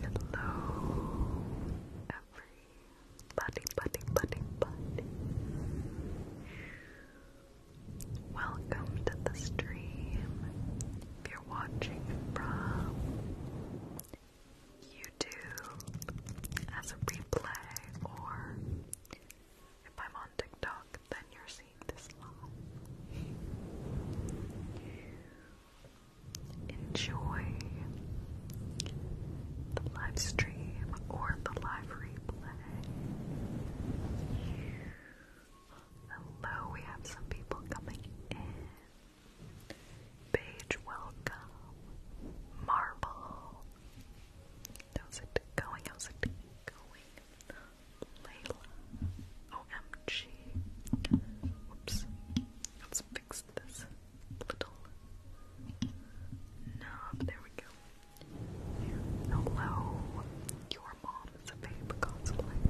Hello, everybody, buddy, buddy, buddy. Welcome to the stream. you're watching from YouTube as a replay, or if I'm on TikTok, then you're seeing this live enjoy the live stream or the live replay. Hello, we have some people coming in. Paige, welcome. Marble. How's it going? How's it going? Layla. Oh, she. Whoops. Let's fix this little knob. There we go. Hello. Your mom is a babe cosplay.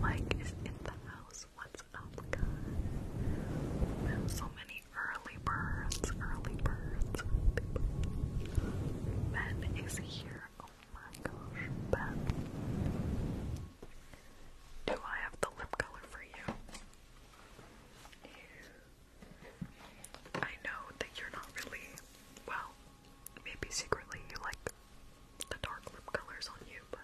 Mike is in the house. What's up, guys? So many early birds, early birds. Ben is here. Oh, my gosh, Beth. Do I have the lip color for you? I know that you're not really, well, maybe secretly you like the dark lip colors on you, but.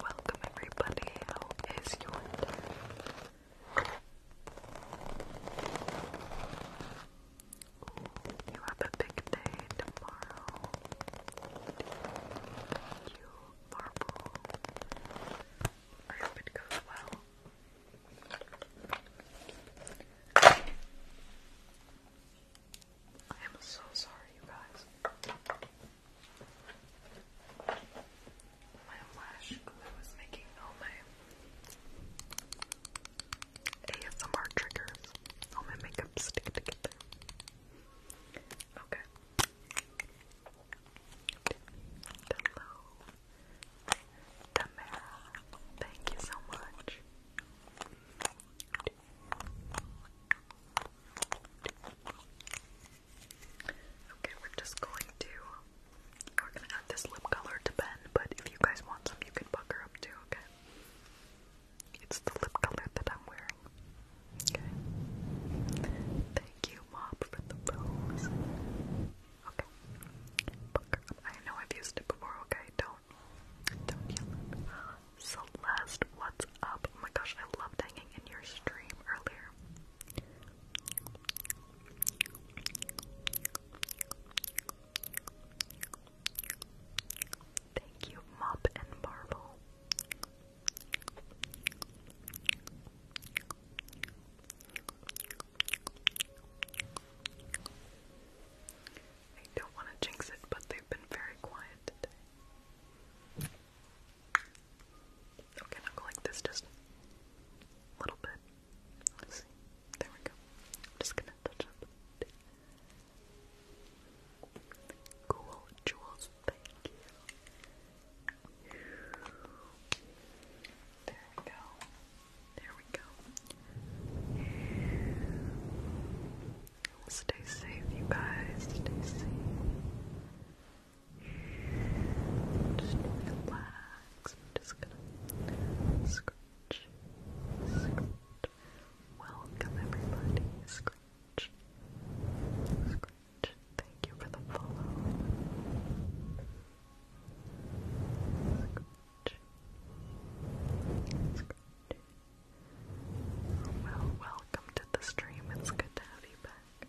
Welcome everybody, how is your day? you have a big day tomorrow. you, Marble. I hope it goes well. I am so sorry, you guys. My lash glue is making all my ASMR triggers, all my makeup stick together. Okay. Hello. Tamara, thank you so much. Okay, we're just going to we're gonna add this lip color to Ben, but if you guys want some you can buck up too, okay? It's the lip color that I'm wearing. Okay. Thank you, Mob, for the rose. Okay. Buck up. I know I've used it before, okay? Don't don't yell Celeste, what's up? Oh my gosh, I loved hanging in your stream earlier. Thank you, Mop and Marble. I don't want to jinx it, but they've been very quiet today. Okay, now go like this just a little bit. Let's see. There we go. just gonna touch up. Cool jewels, thank you. There we go. There we go. Stay safe, you guys. Stay safe. Just relax. just gonna scratch. Welcome everybody. Scratch, scratch. Thank you for the follow. Scratch, scratch. Well, welcome to the stream. It's good to have you back.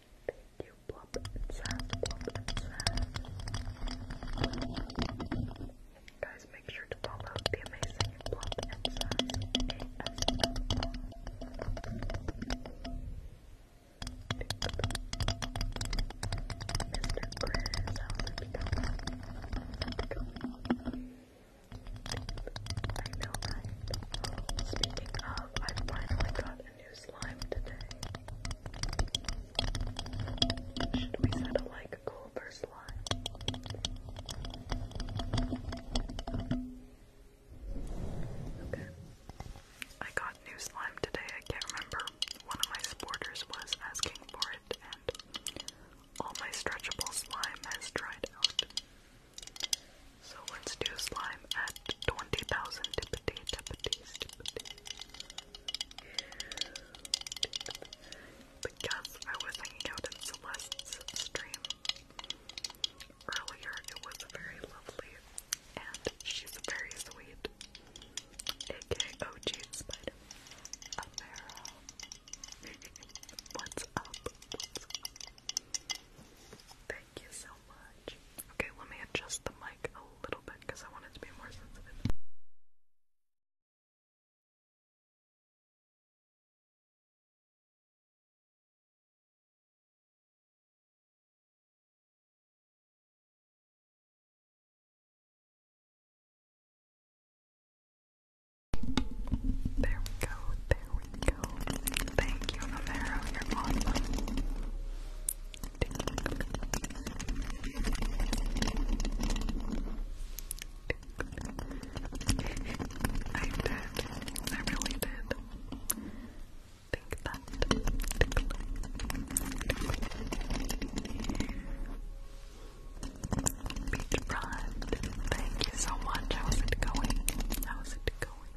Thank you, Plop and Sam, Guys, make sure to follow the amazing Plop and Sam Mr. Chris, how did you come? I Speaking of, I finally got a new slime today. Should we set a like goal slime? Okay. I got new slime today. I can't remember. One of my supporters was asking for it, and all my stretchable slime has dried out. So let's do slime at 20,000 Because I was hanging out in Celeste's stream earlier, it was very lovely, and she's very sweet. AKA OG Spider. Amara. What's up? Thank you so much. Okay, let me adjust the mic a little bit because I want it to be more sensitive. There we go, there we Thank you, Romero. You're awesome. I did. I really did. Think that. Beach Thank you so much. How's it going? How's it going?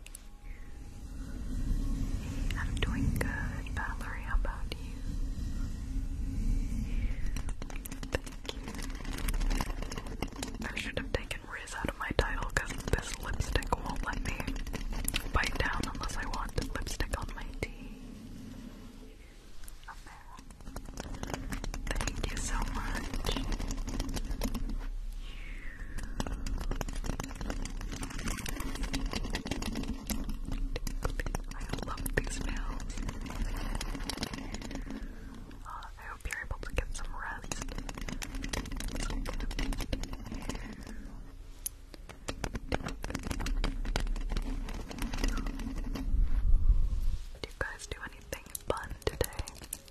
I'm doing good, Valerie. How about you? Thank you. I should have taken Riz out of my title because this lipstick won't let me bite down unless I want lipstick on my tea. Thank you so much. I love these nails. Uh, I hope you're able to get some rest. Do you guys do anything fun today?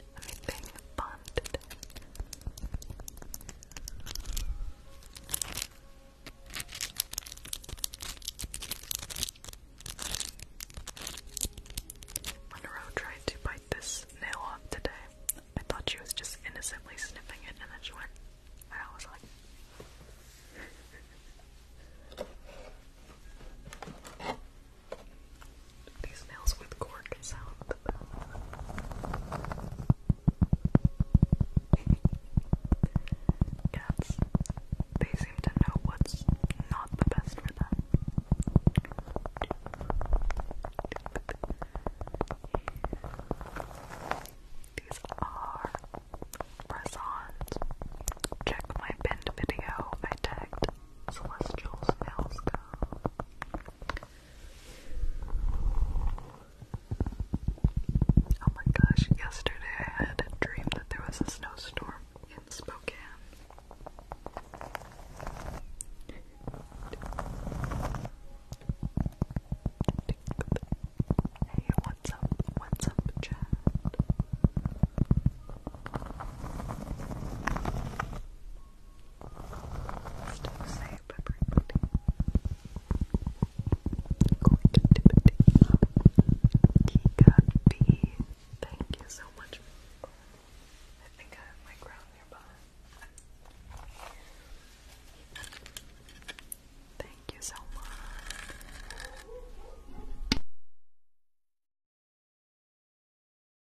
Monroe tried to bite this nail off today. I thought she was just innocently sniffing it and then she went, I was like, these nails with cork sound the best. Cats, they seem to know what's not the best for them. These are press Check my pinned video. I tagged Celestial's nails go. Oh my gosh, yesterday I had a dream that there was a snowstorm in Spokane. Hey, what's up? What's up, Chad? Don't say it, but Kika B. Thank you so much. I think I have my crown nearby. Thank you so much.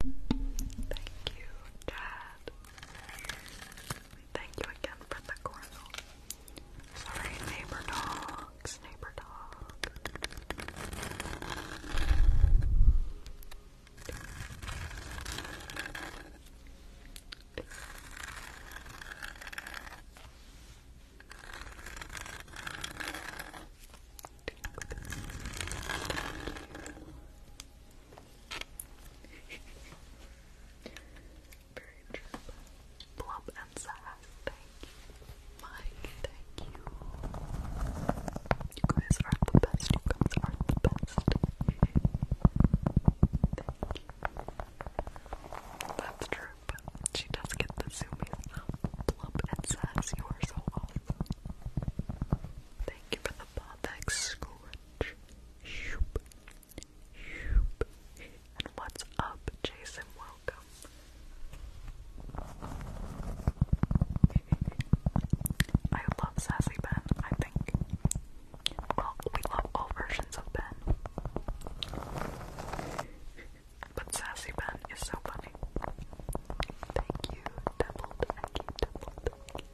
Thank you, Chad. Thank you again for the cornel. Sorry, neighbor dogs, neighbor dog. Very true. Plump and sass. Thank you. Mike, thank you. You guys are the best. You guys are the best. That's true, but she does get the zoomies. Plump and sass, you are so awesome. Thank you for the bothex much. Shoop. Shoop. And what's up, Jason? Welcome. I love Sassy Ben, I think. Well, we love all versions of Ben. But Sassy Ben is so funny. Thank you, Deviled Eggy, Deviled Eggy.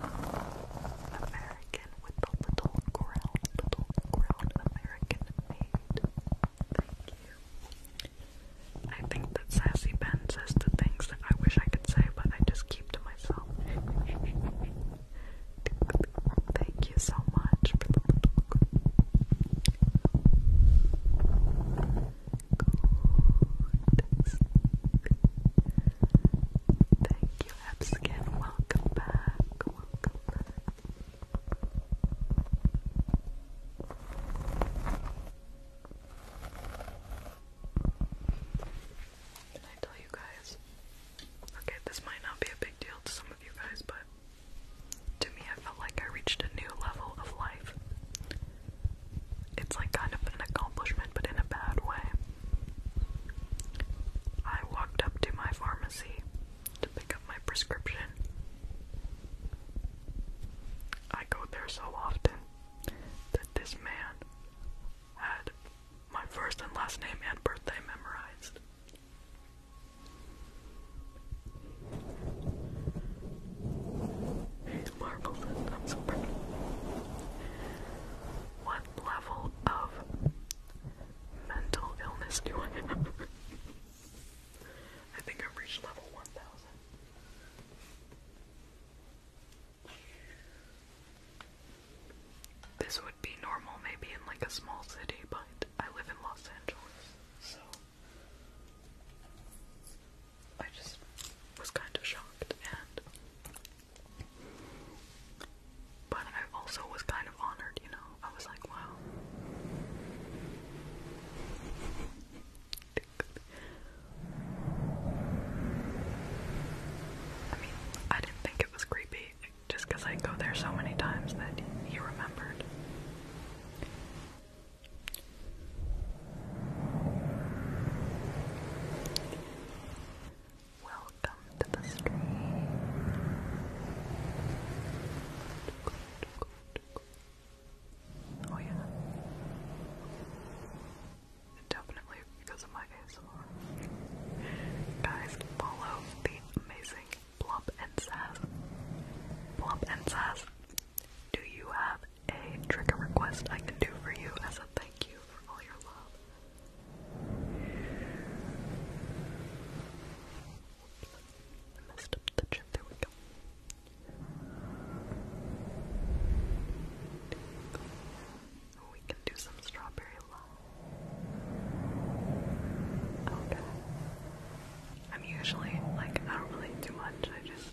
American with the little ground, little ground American made. Thank you. I think that Sassy Ben says the things that I wish I could say, but I just keep to myself. Thank you so much for the little Thank you, Epskin. Welcome back. Welcome back. Did I tell you guys? Okay, this might not be a big deal to some of you guys, but to me, I felt like I reached a new level of life. It's like kind of an accomplishment, but in a bad way. I walked up to my pharmacy to pick up my prescription. I go there so often that this man had my first and last name and birthday memorized. It's marvelous. i What level of mental illness do I have? I think i reached level 1000. This would be normal maybe in like a small city, but I live in Los Angeles, so I just was kind of shocked and but I also was kind of honored, you know. I was like, wow. I mean, I didn't think it was creepy just because I go there so many times that he remembered. Welcome to the stream. Oh yeah. Definitely because of my ASMR. Guys, follow the amazing Plump and Sass. Plump and Sass, do you have a trick trigger request I can do for you as a thank you for all your love. I messed up the chip. There we go. we can do some strawberry love. Okay. I'm usually like not really do much. I just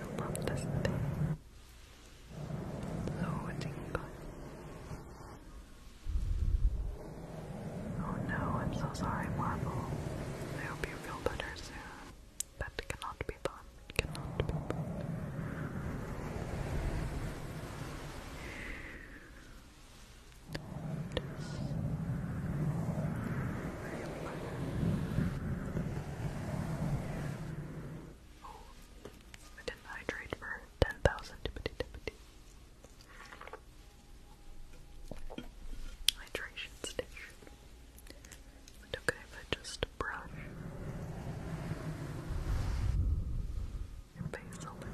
I love this thing. So tingly. Oh no, I'm so sorry, Marvel. I hope you feel better soon. That cannot be done. Cannot be done. I didn't hydrate for 10,000 Hydration station. okay if I just brush your face a little.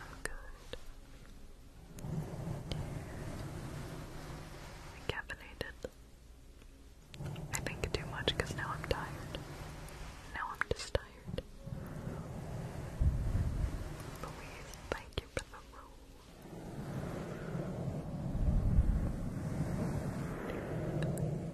I'm good. Caffeinated. I think too much because now I'm tired. Now I'm just tired. Louise, thank you for the roll.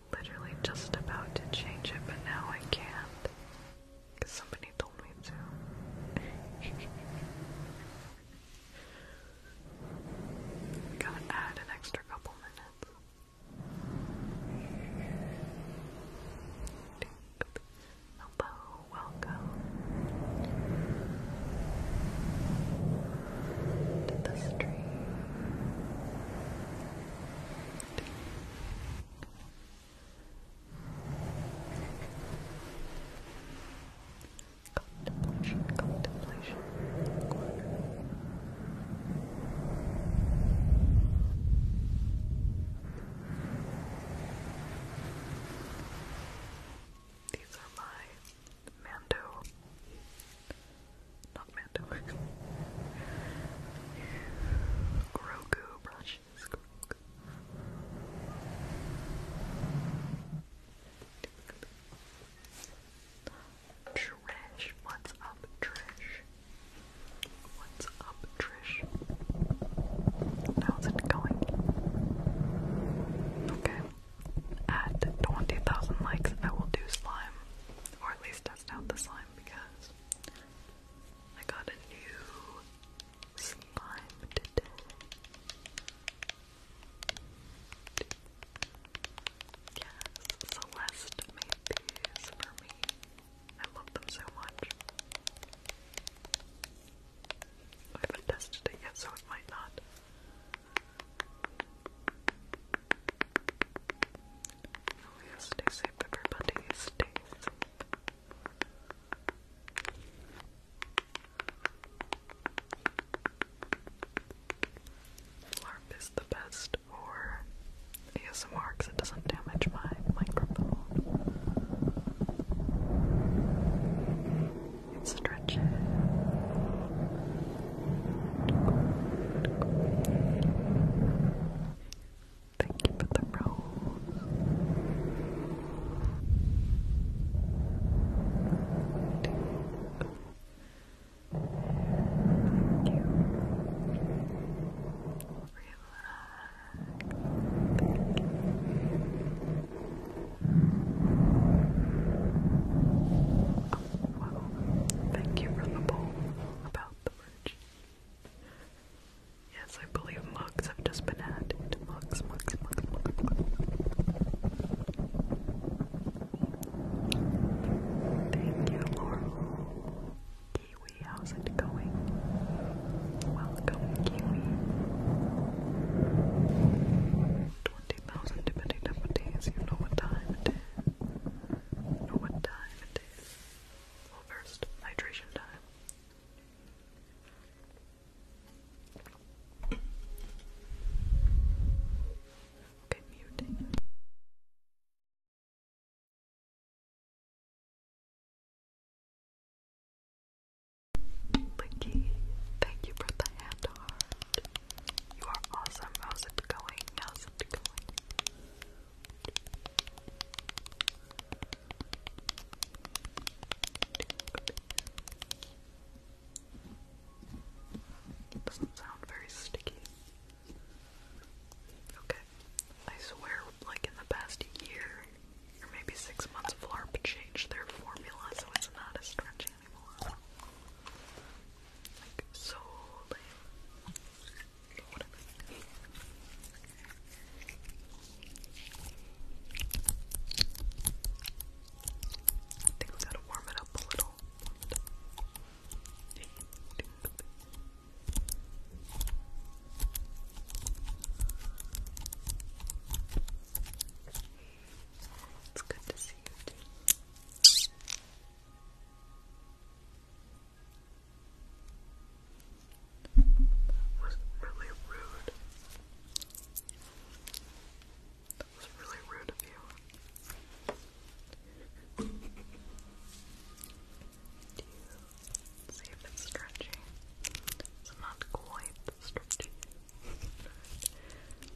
was literally just about to change it, but now I can't. Because somebody told me to. Gotta add an extra couple minutes. Hello, welcome to the stream. Contemplation, contemplation, corner. These are my Mando, not Mando, Grogu brushes. Trish, what's up, Trish? What's up, Trish? How's it going? Okay. At 20,000 likes, I will do slime. Or at least test out the slime because I got a new slime today. Yes, Celeste made these for me. I love them so much. I haven't tested it yet, so it might not. Stay safe, everybody. Stay safe. LARP is the best for ASMR because it doesn't damage my microphone. It Thank you for the rose. Thank you. Relax. Oh, wow. Thank you for the poll about the merch. Yes, I believe mugs have just been added. Mugs, mugs, mugs, mugs, mugs. Thank you, Laurel. Kiwi, how's it going? Welcome, Kiwi. 20,000 dippity dippities, you know what time it is. know what time it is. Well, first, hydration time. Okay, muting. Licky, thank you for the hand heart. You are awesome. How's it going? How's it going? doesn't sound very sticky. Okay. I swear, like in the past year or maybe six months, Flarp changed their formula so it's not as stretchy anymore. so I think we gotta warm it up a little. It's good to see you that was really rude. That was really rude of you. Do you see if it's stretchy? It's not quite stretchy. it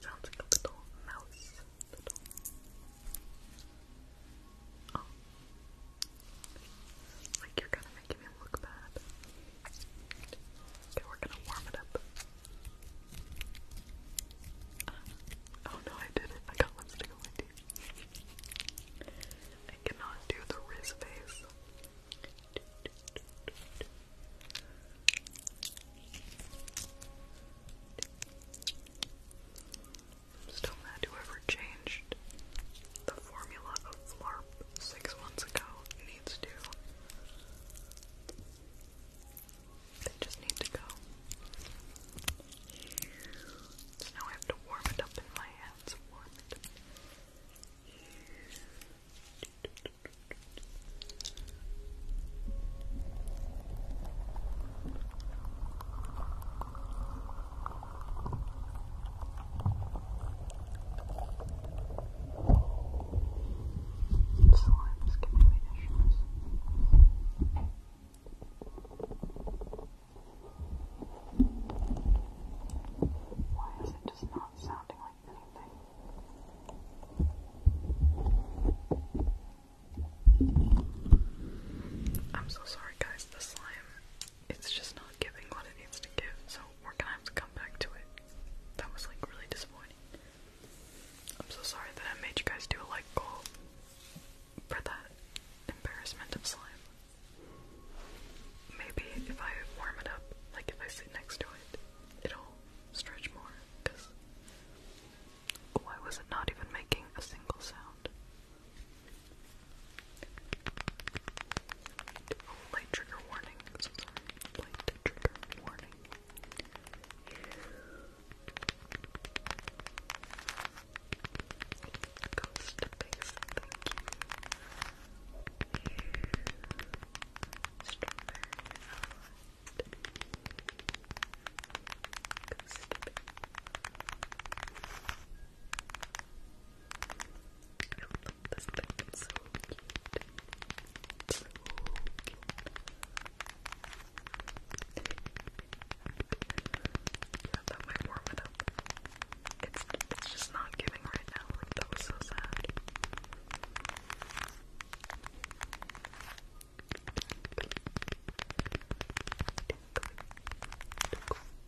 sounds like a little mouse. Little. Oh, like you're kind of making me look bad. Okay, we're gonna warm it up. Uh, oh no, I did it. I got lipstick on my teeth. I cannot do the Riz face still mad whoever changed the formula of Flarp six months ago needs to. They just need to go. So now I have to warm it up in my hands. Warm it Slime is giving me issues. Why is it just not sounding like anything? I'm so sorry, guys. The slime it's just not giving what it needs to give, so we're gonna have to come back to it. That was like really disappointing. I'm so sorry that I made you guys do a like goal for that embarrassment of slime. Maybe if I warm it up, like if I sit next to it, it'll stretch more, because why was it not even making a single sound? Light trigger warning. This light trigger warning. Ghost face, thank you. Strawberry Ghost uh, face this thing, it's so cute. It's so cute. Yeah, that it It's, just not giving right now. that was so sad.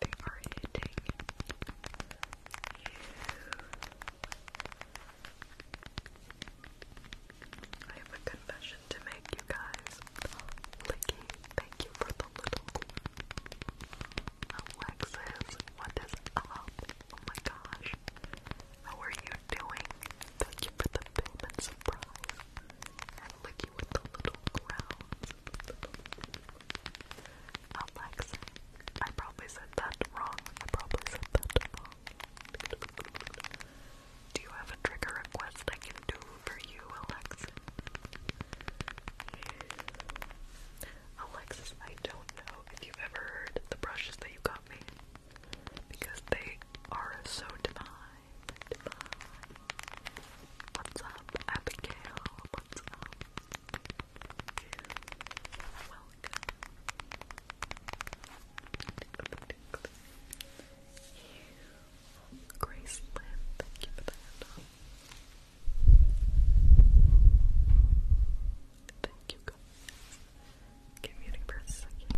they are hitting you. I have a confession to make, you guys. thank you for the little Alexis, what is Oh my gosh. How are you doing? Thank you for the film surprise. And Licky with the little crowns. Alex, I probably said that wrong. I probably said that wrong. Do you have a trigger request I can do for you, Alexa? Alexis, I don't know if you've ever heard the brushes that you got me because they are so divine. divine. What's up, Abigail? What's up? Welcome. Grace Lynn, thank you for the Thank you guys. Get muting a second.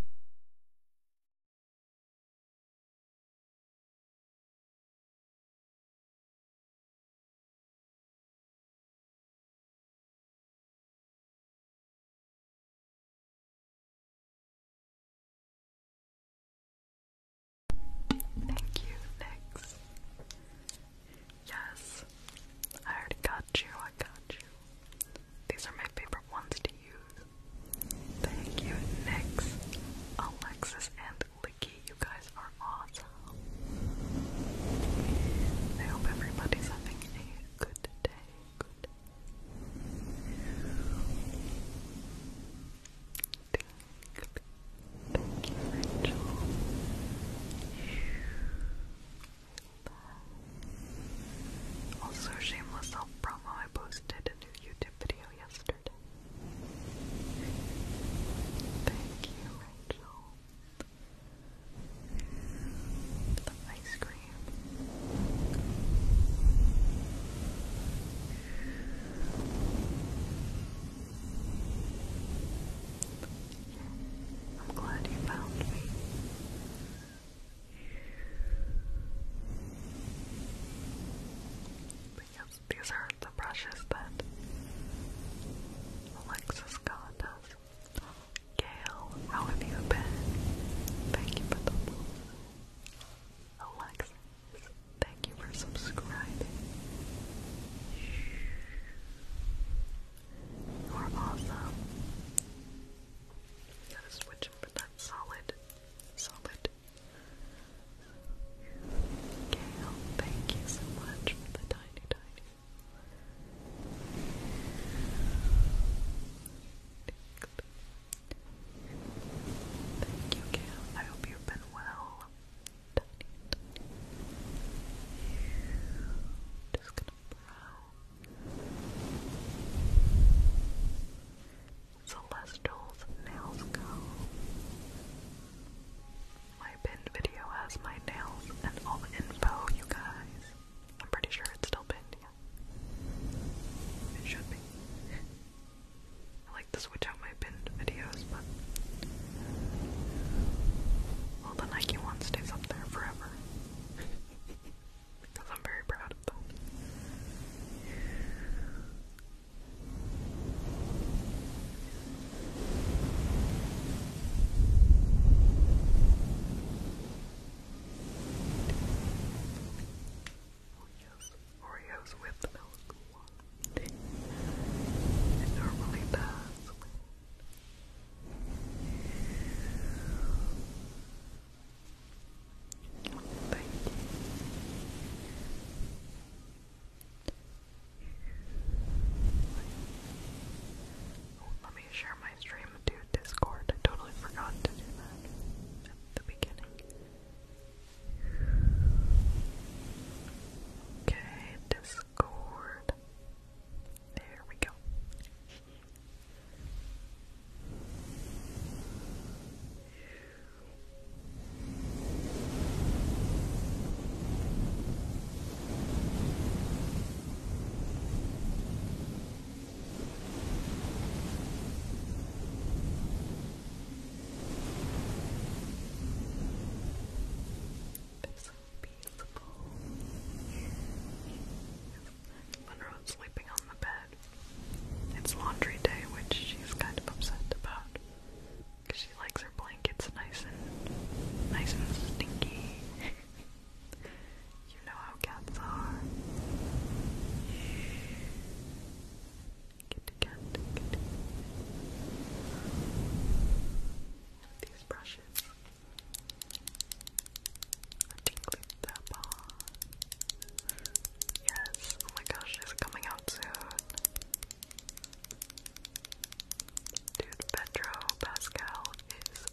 Thank you, Nix. Yes, I already got you, I got you. These are my favorite ones to use. Thank you, Nix, Alexis, and Licky, you guys are awesome. I hope everybody's having a good day. Good Thank you, Rachel. Also, shameless self promo. I posted a new YouTube video yesterday. Thank you, Rachel. The ice cream. I'm glad you found me. Because these are the brushes that Alexis got us. Gail, how have you been? Thank you for the follow. Alexis, thank you for subscribing. You are awesome. Gotta switch him for that solid, solid Gail, thank you so much for the tiny, tiny Thank you, Gail. I hope you've been well. Celestial's nails go. My pinned video has my nails and all the info, you guys. I'm pretty sure it's still pinned, yeah. It should be. I like to switch out my pinned videos, but. Well, the Nike one stays up there forever. because I'm very proud of them. Oreos, with milk. It normally does. Thank you. Oh, let me share my stream to Discord. totally forgot to do that at the beginning. Okay, Discord. There we go. It's so peaceful. Wonder sleeping on the bed. It's laundry day, which she's kind of upset about. Cause she likes her blankets nice and nice and stinky. you know how cats are. Kitty cat, kitty. With brushes. I tinkly zappa. Yes, oh my gosh, it's coming out soon. Dude, Pedro Pascal is.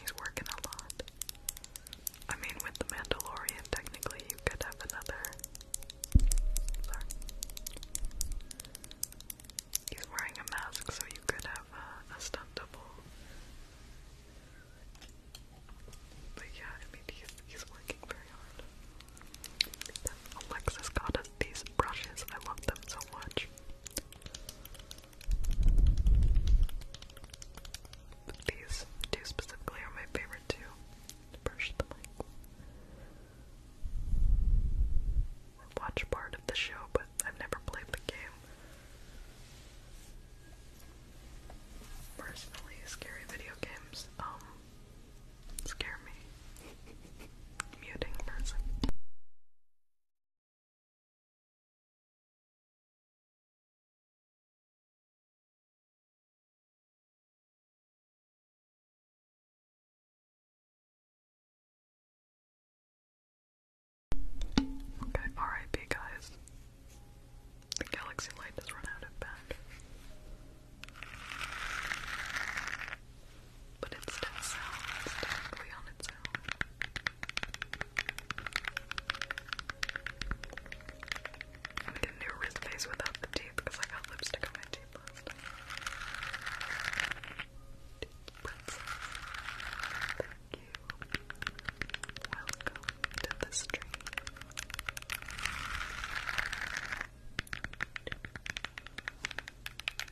He's working a lot. I mean, with The Mandalorian, technically, you could have another. Sorry. He's wearing a mask, so you could have a, stunt double. But yeah, I mean, he's, he's working very hard. Alexis got us these brushes. I love them so much. these two specifically are my favorite too. Brush the watch part of the show, but I've never played the game. Personally, scary video games. Um, scare me. Muting person. Okay, R.I.P. guys. The galaxy light has run out of battery but instead sounds directly on its own. I'm gonna do a wrist face without the teeth because I got lipstick on my teeth thank you. Welcome to the stream.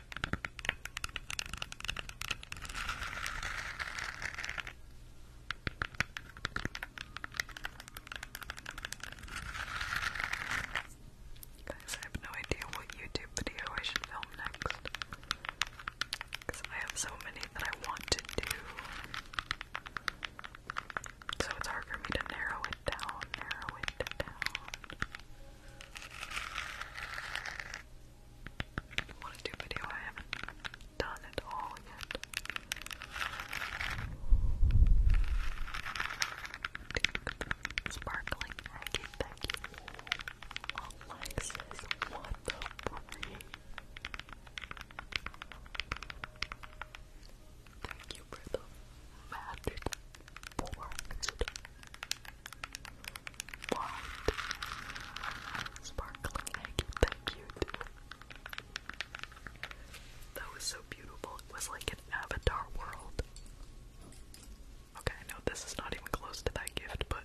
Guys, I have no idea what YouTube video I should film next. Because I have so many that I want to do. So it's hard for me to narrow it down, narrow it down want to do video I haven't done at all yet. Sparkling thank you. Alexis, what the brain? Thank you for the magic four. What? Sparkling thank you. That was so beautiful. It was like an avatar world. Okay, I know this is not even close to that gift, but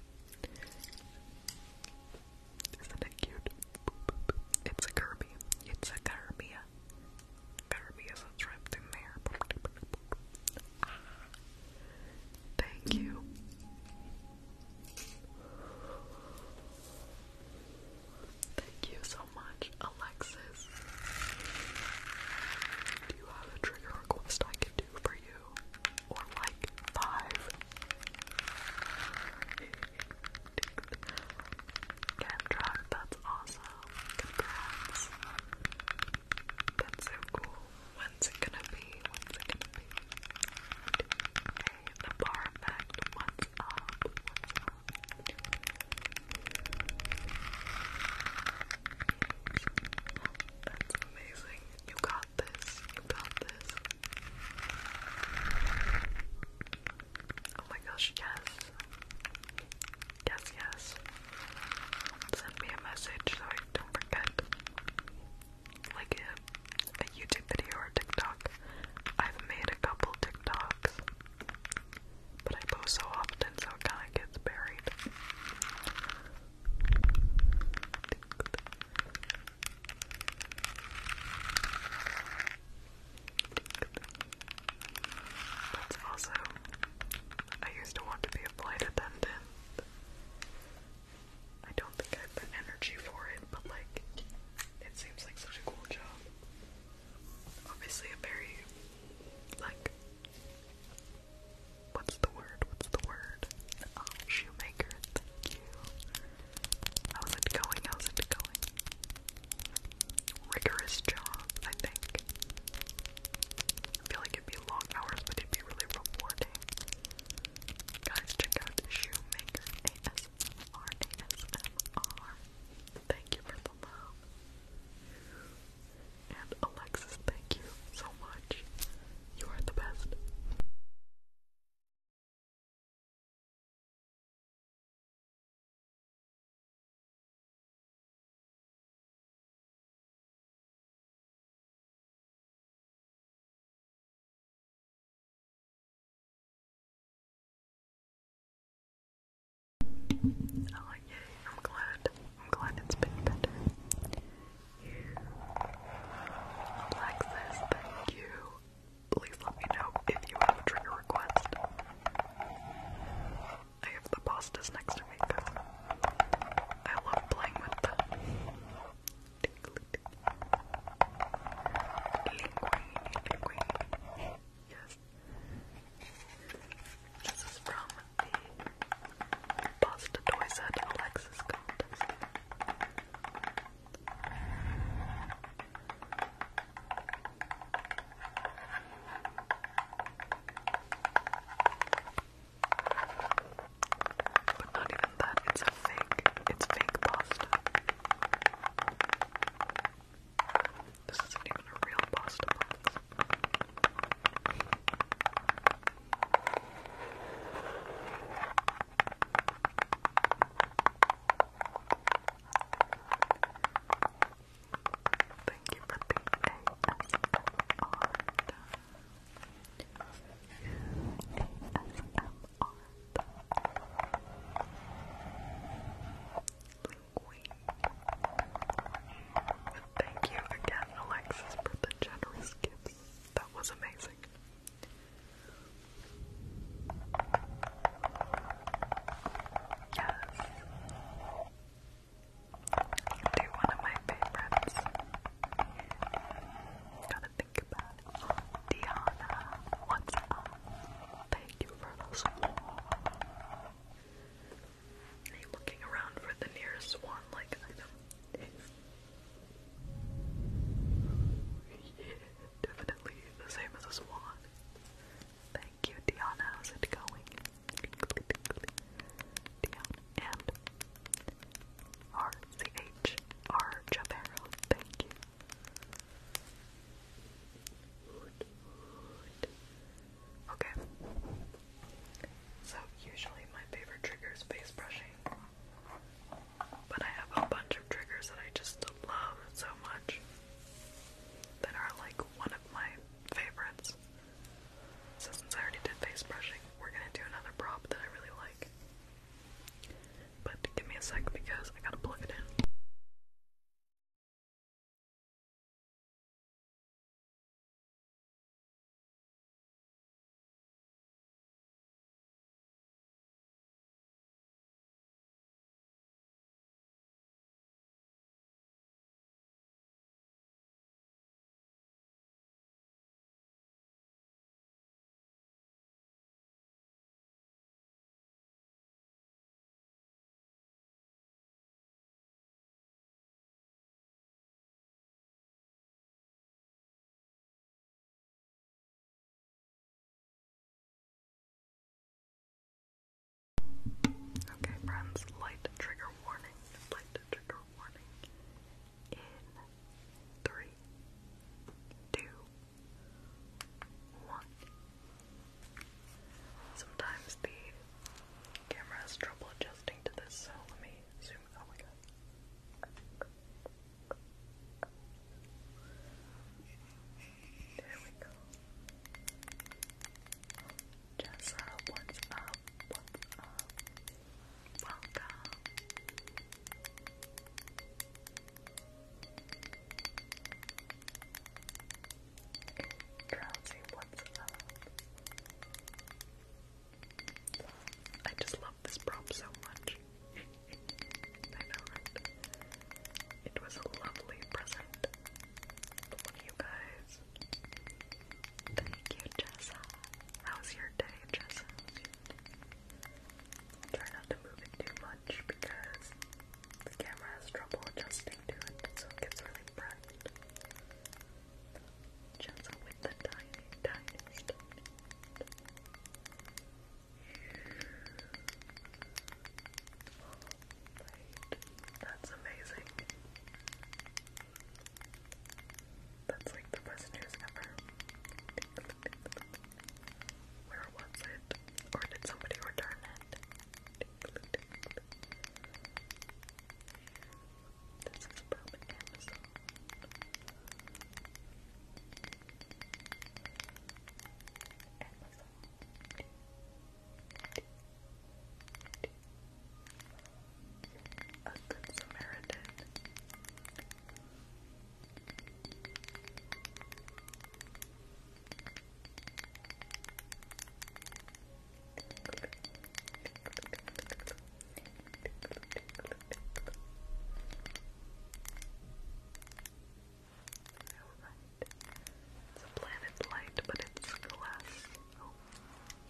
isn't it cute? It's a Kirby. It's a Kirby. Kirby is trapped in Thank you. Thank you so much, Alexis. Do you have a trigger request I can do for you? Or like five? Cam that's awesome. Congrats. That's so cool. When's it gonna be? When's it gonna be? Hey, the bar effect. What's up? What's up? That's amazing. You got this. You got this. Oh my gosh, yes. Yes, yes. Send me a message so I don't forget like a, a YouTube video or a TikTok. I've made a couple TikToks, but I post so often, so it kind of gets buried. That's also. I used to want to be a flight attendant. I don't think I have the energy for it, but like, it seems like such a cool job. Obviously, a very, like, what's the word? What's the word? Oh, shoemaker, thank you. How's it going? How's it going? Rigorous job, I think. I feel like it'd be long hours, but it'd be really rewarding. Guys, check out the Shoemaker ASMR, ASMR. Thank you for the love. And Alexis, thank you so much. You are the best. Oh yay, I'm glad. I'm glad it's been better. Alexis, thank you. Please let me know if you have a trigger request. I have the pastas next to me I love playing with them. Linguine, Yes. This is from the Pasta Toy Set Alexis contest. But not even that, it's a fake, it's fake pasta. This isn't even a real pasta Thank you for the ASMR. ASMR. Thank you again, Alexis, for the generous gifts. That was amazing. Yes. Do one of my favorites. Gotta think about Diana, what's up? Thank you for those. Are you looking around for the nearest one like definitely the same as a swan. Thank you, Diana. How's it going? Dion and R C H R Javero, thank you. Okay. So usually my favorite trigger is face brushing. But I have a bunch of triggers that I just love so much that are like one of my favorites. since I already did face brushing, we're gonna do another prop that I really like. But give me a sec because I gotta plug it in. Okay, friends, light trigger warning, light trigger warning in three, two, one. Sometimes the camera has trouble adjusting to this, so let me zoom. Oh There we go. Jessa, what's up? What's up? Welcome. Drowsy, what's up? I just love this prompt so much. I know, right? It was a lovely present from you guys. Thank you, Jessa. How's your day, Jessa? Try not to move it too much because the camera has trouble adjusting to it, so it gets really bright. Just with the tiny, tiny, That's amazing. That's like the best news ever. Where was it? Or did somebody return it? This is from A Good Samaritan. It's a planet light, but it's glass. Oh,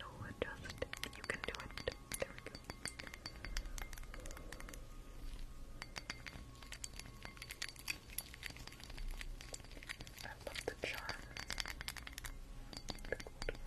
no, adjust. You can do it. There we go. I love the charm. Thank you, fans.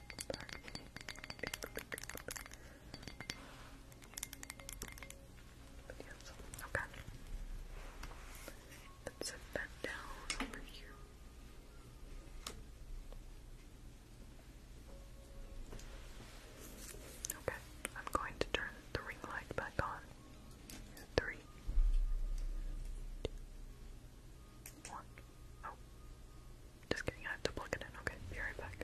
Yes. Okay. Let's set that down over here. Okay, I'm going to turn the ring light back on. Three, two, one. Oh. Just kidding, I have to plug it in. Okay, be right back.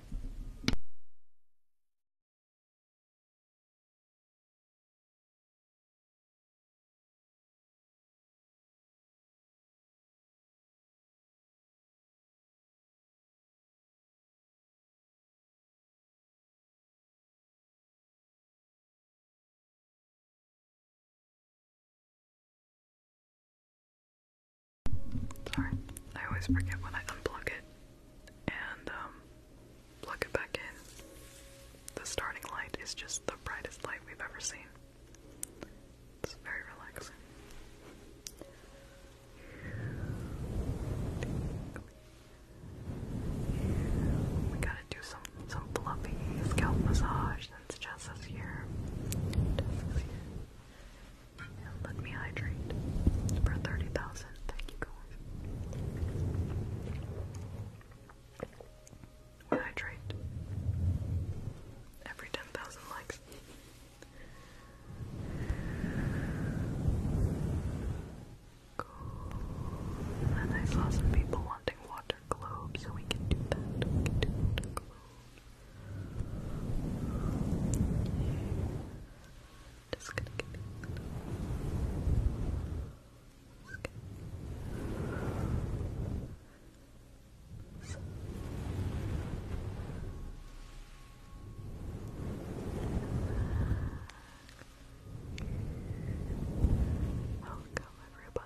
Sorry, I always forget when I unplug it and um, plug it back in. The starting light is just the brightest light we've ever seen. It's very relaxing. We gotta do some some fluffy scalp massage since Jess is here. let me hydrate for 30,000. Thank you guys. I hydrate every 10,000 likes. Cool. And I saw some people wanting water globes, so we can do that. Just gonna give you a So. Welcome, everybody.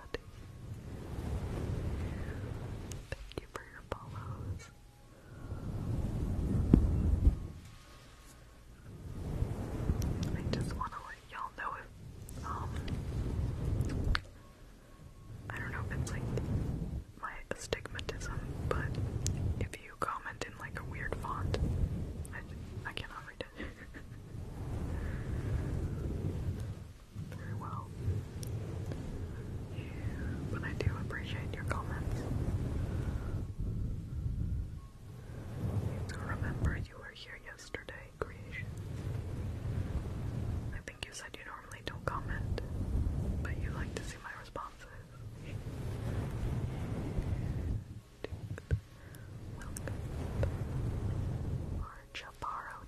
Thank you for your follows. I just want to let y'all know if, um, I don't know if it's like my astigmatism, but if you comment in like a weird font, I, I cannot read it. very well. But I do appreciate your comments. Remember, you were here yesterday, creations. I think you said you normally don't comment, but you like to see my responses. Welcome. Or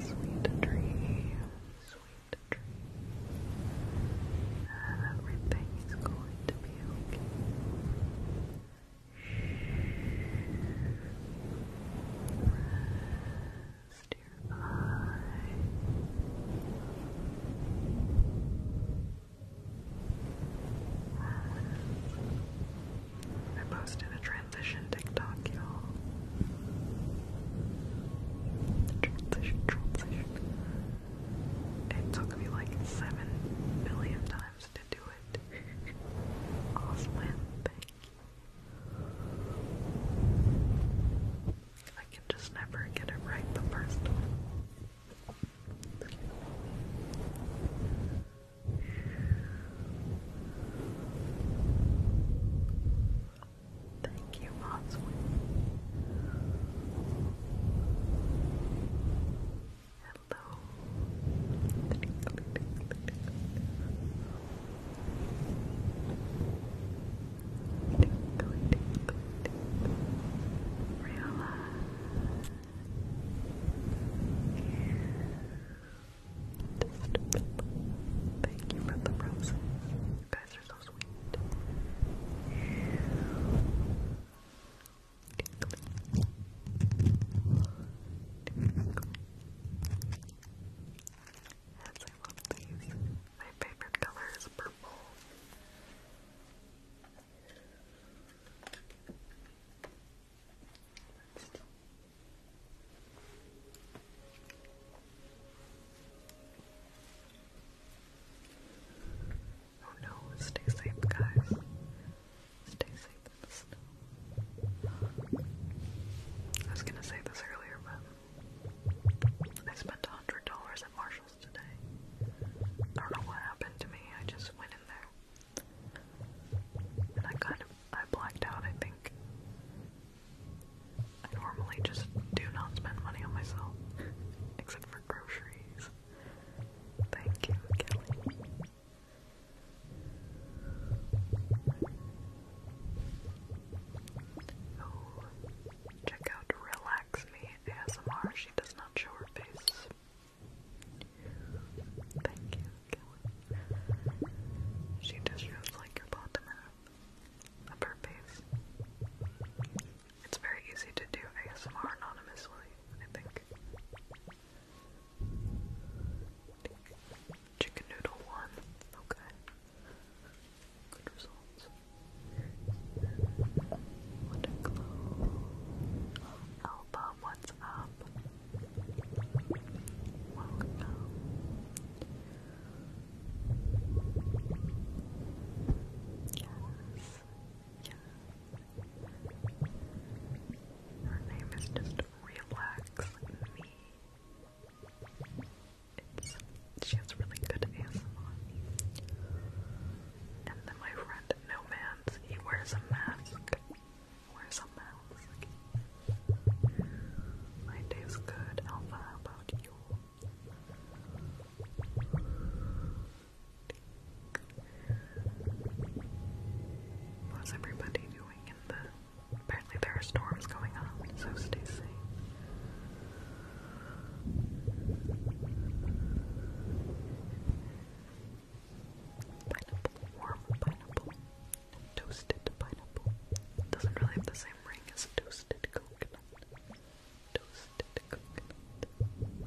Sweet tree, sweet tree. Everything is going to be okay. Rest I posted a transition TikTok, y'all. transition. It took me like seven billion times to do it. Auslan, thank you. I can just never get it right the first time. Thank you, Oswin. Hello. Just thank you for the roses. You guys are so sweet. Yes, I love these. My favorite color is purple. Who oh, knows? Stay safe, guys. Stay safe I was gonna say this earlier, but I spent a hundred dollars at Marshalls today. I don't know what happened to me. I just went in there, and I kind I blacked out. I think. I normally just do not spend money on myself, except for groceries. Thank you, Kelly. Oh, check out Relax Me ASMR. She does not show her face. Thank you, Kelly. She just shows like her bottom half of her face. It's very easy to do ASMR anonymously, I think. Chicken noodle one, okay. Good results. What what's up? Yes. Yes. Her name is just Relax she has really good ASMR. And then my friend No Man's, he wears a mask. Wears a mask. My day's good, How about you? What's everybody doing apparently there are storms going on, so stay safe. Pineapple, warm pineapple, toasted pineapple. doesn't really have the same ring as toasted coconut. Toasted coconut.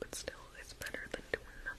But still, it's better than doing nothing.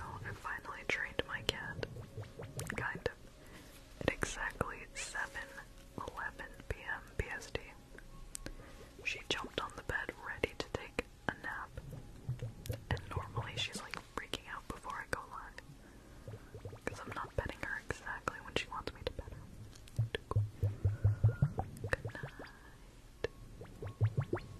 Oh, I finally trained my cat. Kind of. exactly 7:11 p.m. PST. She jumped on the bed ready to take a nap. And normally she's like freaking out before I go live. Because I'm not petting her exactly when she wants me to pet her. Good night.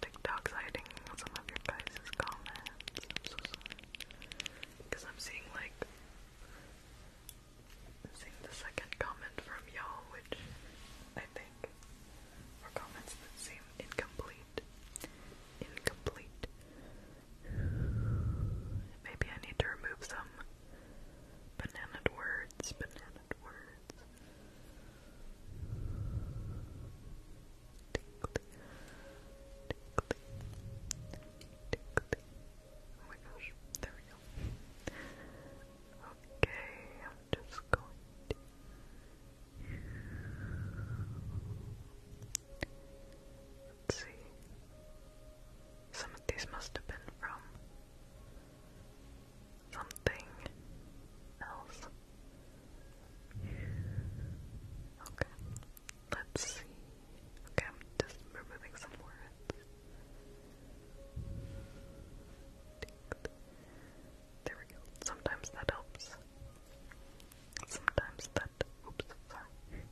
TikTok's hiding some of your guys' comments. I'm so sorry. Because I'm seeing like seeing the second comment from y'all, which I think for comments that seem incomplete. Incomplete. Maybe I need to remove some bananaed words, bananaed words. Tickly. Tickly. Tickly. Oh my gosh, there we go. Okay, just going to let's see. Some of these must have been from something else. Okay. Let's see. Okay, I'm just removing some words. There we go. Sometimes that helps. Sometimes that. Oops, sorry.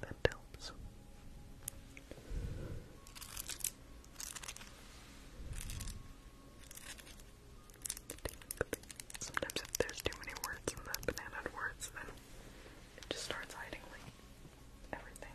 That helps. Sometimes if there's too many words in the banana words, then it just starts hiding like everything.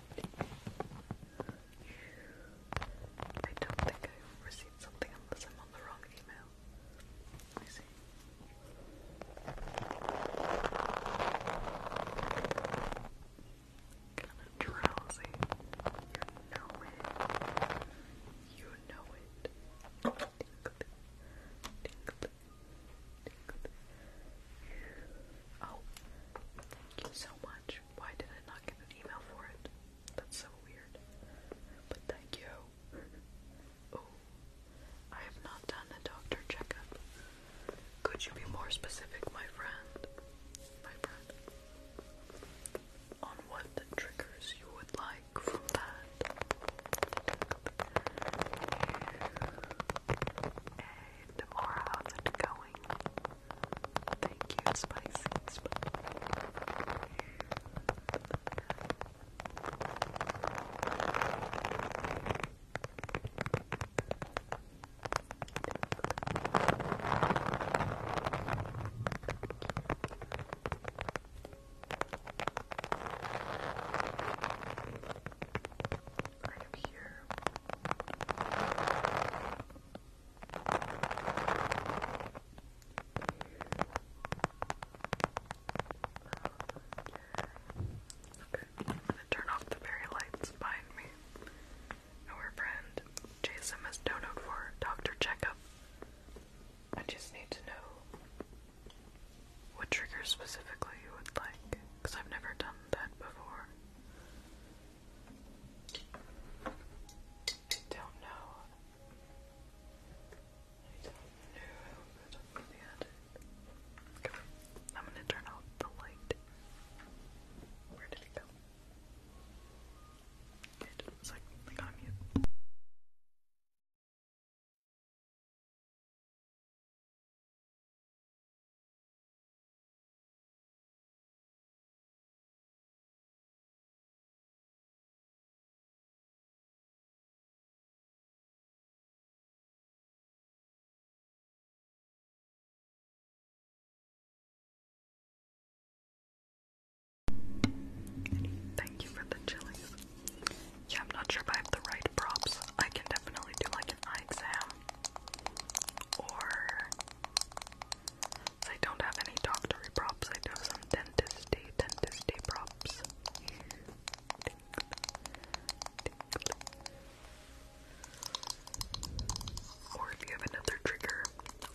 I don't think I received something unless I'm on the wrong email. Let see. Kind of drowsy. You know it. You know it. Oh, thank you so much. Why did I not get an email for it? That's so weird. But thank you. Oh, I have not done a doctor checkup. Could you be more specific, my friend? My friend. On what triggers you would like from that? the how's it going? Thank you, Spicy. I am here Okay, I'm gonna turn off the very lights behind me. Our friend Jason has donated for doctor checkup. I just need to know what triggers specifically you would like, because I've never done that before. I don't know. I don't know, I'm gonna turn off the light. Where did it go? Good. It's like, like mute. Thank you for the chilies. Yeah, I'm not sure I have the right props. I can definitely do like an eye exam. Or I don't have any doctory props, I do some dentistry, y props. Or if you have another trigger,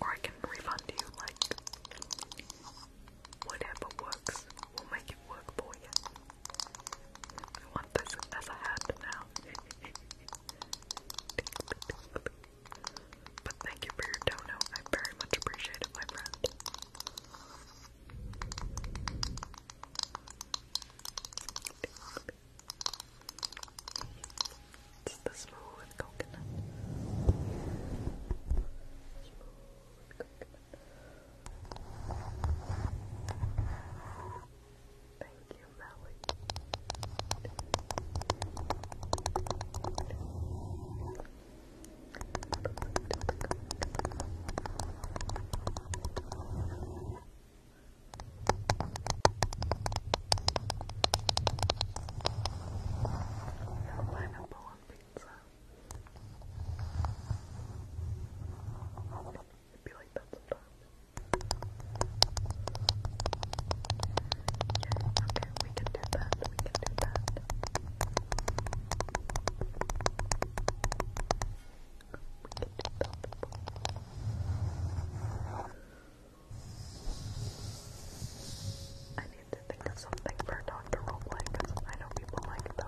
or I can refund you, like, whatever works, we'll make it work for you. I want this as a hat now but thank you for your dono. I very much appreciate it, my friend. It's the smooth coconut. Smooth coconut. Thank you, Melly. pineapple pizza be like that sometimes. okay, we can do that. We can do that. We can do that. I need to think of something for doctor roleplay because I know people like those.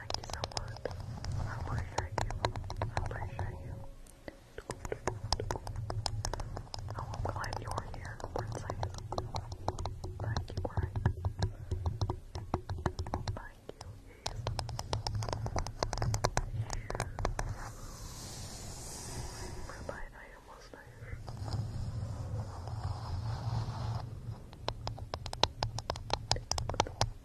thank you so much. I appreciate you. I appreciate you. I'm glad you are here, Princess. Thank you, Greg. Thank you, Ace. Everybody, I almost there.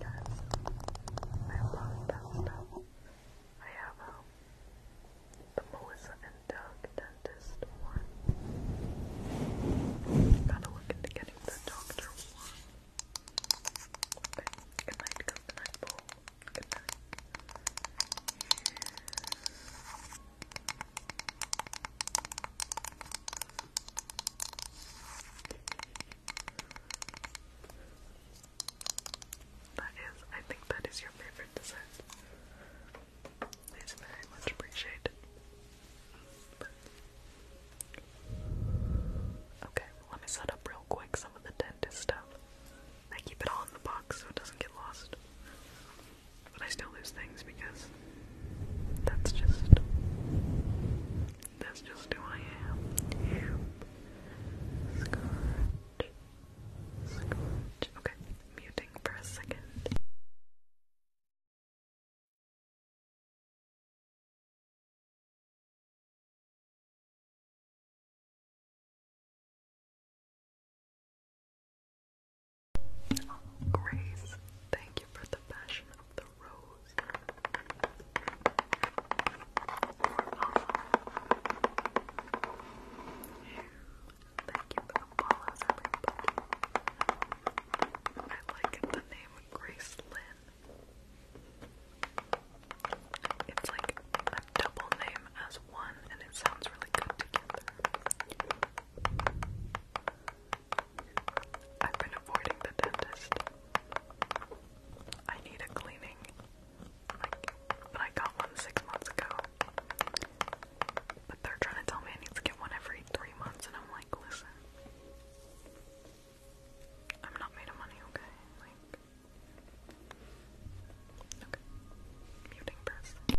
Yes. I love that stuff. I have um, Melissa and Doug dentist one. Gotta look into getting the doctor one. Okay. Good night, good night, bowl. Good night. That is, I think that is your favorite dessert. It's very much appreciated. Okay, let me set up real quick some of the dentist stuff. I keep it all in the box so it doesn't get lost. But I still lose things because that's just that's just who I am. Okay, muting for a second. Oh, Grace, thank you for the passion of the Thank you I like the name Grace Lynn. It's like a double name as one, and it sounds really good together. I've been avoiding the dentist. I need a cleaning. but I got one six months ago. But they're trying to tell me I need to get one every three months, and I'm like, listen, I'm not made money, okay? okay. Muting this.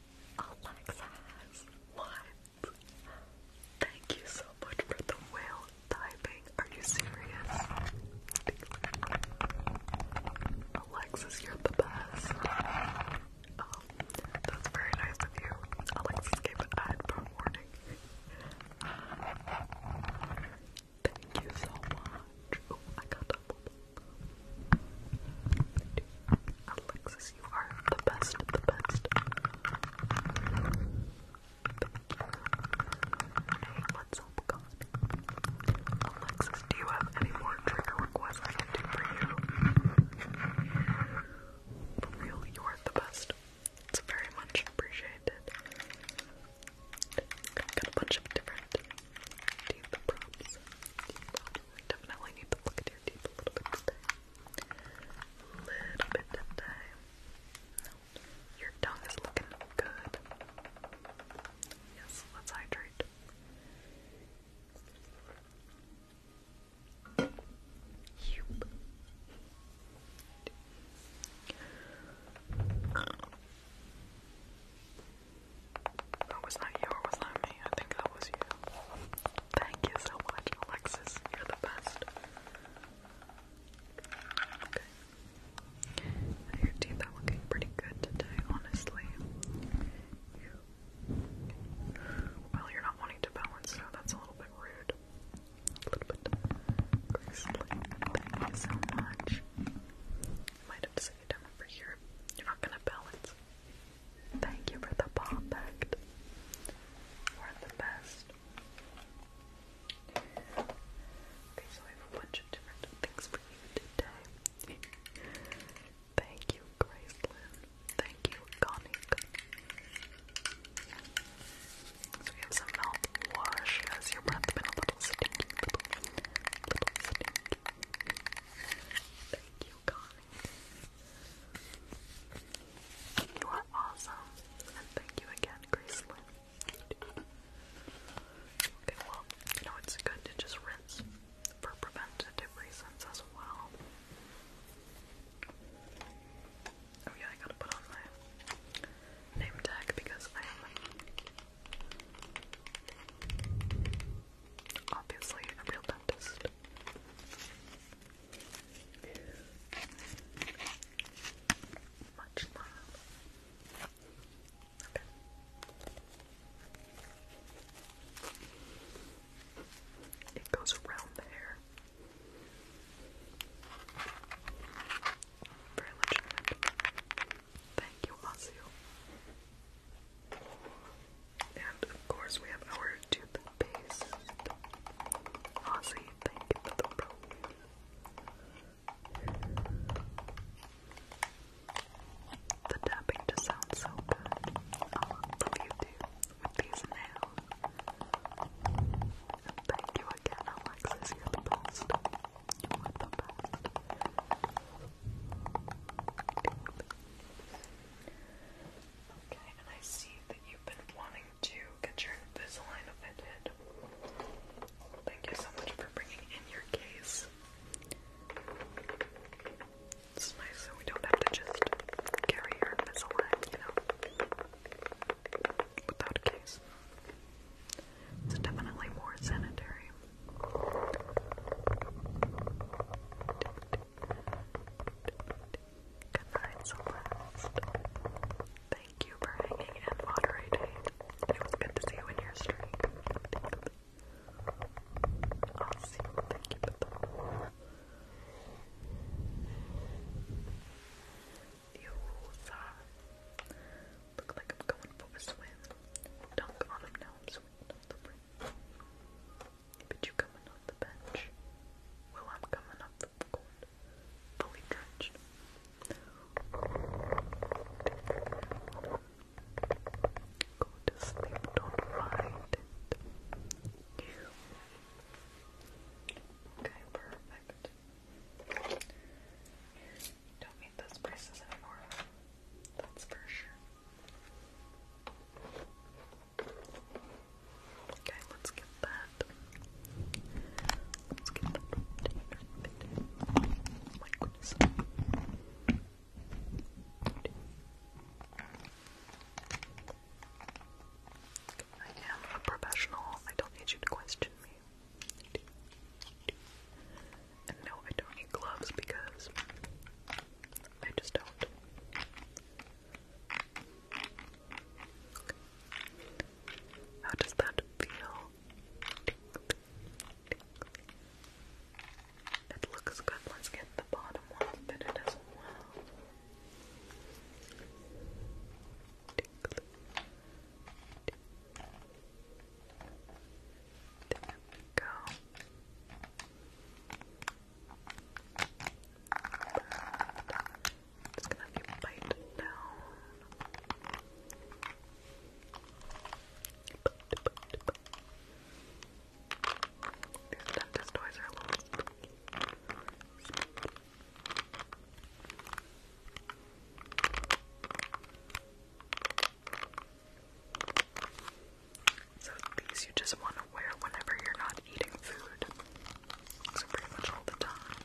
Alexis, what? Thank you so much for the whale diving. Are you serious? Alexis, you're the best. Oh, that's very nice of you. Alexis gave an ad for warning. Thank you so much. Oh, I got double Alexis, you are the best the best. Hey, let's help God. Alexis, do you have any more trigger requests I can do for you? For real, you are the best. It's very much appreciated. got a bunch of different teeth props. definitely need to look at your a little bit today. little bit today. Your tongue is looking good. Yes, let's hydrate. Yep. That was not you was that me? I think that was you. Thank you so much, Alexis. You're the best. your teeth are looking pretty good today, honestly. Well, you're not wanting to balance, so that's a little bit rude. A little bit gracefully. Thank you so much. might have to sit you over here. You're not gonna balance. Thank you for the bomb pact. We're the best. Okay, so I have a bunch of different things for you today. Thank you, Grace Lynn. Thank you, Connie. So we have some mouthwash. Has your breath been a little stinky? Little, little stinky. Thank you, Connie. You are awesome. And thank you again, Gracelyn. Okay, well, you know, it's good to just rinse for preventative reasons as well. Oh, yeah, I gotta put on my name tag because I am Obviously, a real dentist. Much love. Okay. It goes around the Very legitimate. Thank you, Asio. And of course, we have our toothpaste. Aussie, thank you the pro. The tapping just sounds so good. love you too with these nails. And thank you again, Alexis. you the best. You are the best. Okay, and I see that you've been wanting to get your Invisalign fitted. Thank you so much for bringing in your case. It's nice that we don't have to just carry your Invisalign, you know, without a case. It's definitely more sanitary. Good night, Celeste. Thank you for hanging and moderating. It was good to see you in your stream. Awesome. Thank you for You look like I'm going for a swim. Dunk on him now. I'm swimming but you coming off the bench? Well, I'm coming off the court, fully drenched. Go to sleep, don't mind it. Okay, perfect. don't need those braces anymore. That's for sure. Okay, let's get that. Let's get that I am a professional. I don't need you to question me. And no, I don't need gloves because I just don't. How does that feel? It looks good. Let's get the bottom one fitted as well. There we go. It's gonna have you bite down. These toys are a little spooky. So these you just want to wear whenever you're not eating food. So pretty much all the time.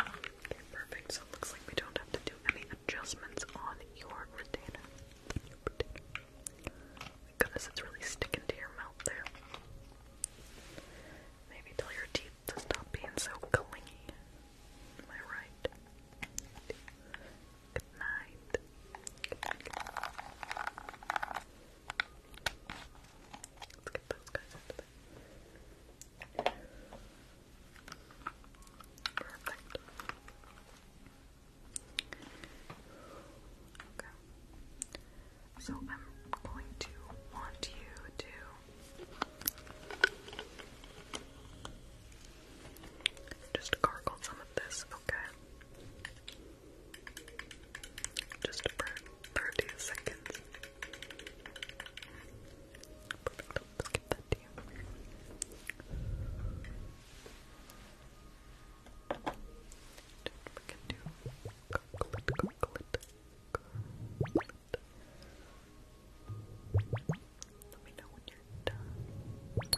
Okay, perfect. So looks like we don't have to do any adjustments on your retainer. my goodness, it's really sticking to your mouth there. Maybe tell your teeth to stop being so clingy. Am I right? Good night. Good night. Let's get those guys out of there. Perfect. Okay. So I'm going to want you to just gargle some of this, okay? Just for 30 seconds. Let's get that to Let me know when you're I've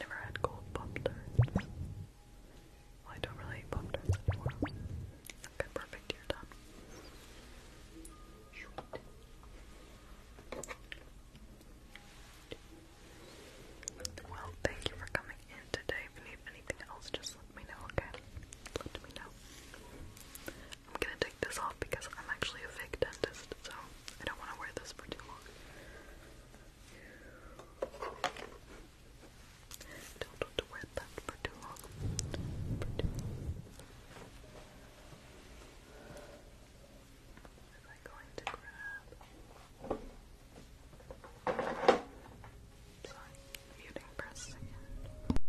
never had cold pop Well, I don't really eat pop anymore. Okay, perfect. You're done. Well, thank you for coming in today. If you need anything else, just let me know, okay? Let me know. I'm gonna take this off because I'm actually a fake dentist, so I don't want to wear this for too long. Don't want to wear that For too long am I going to grab? So I'm press again.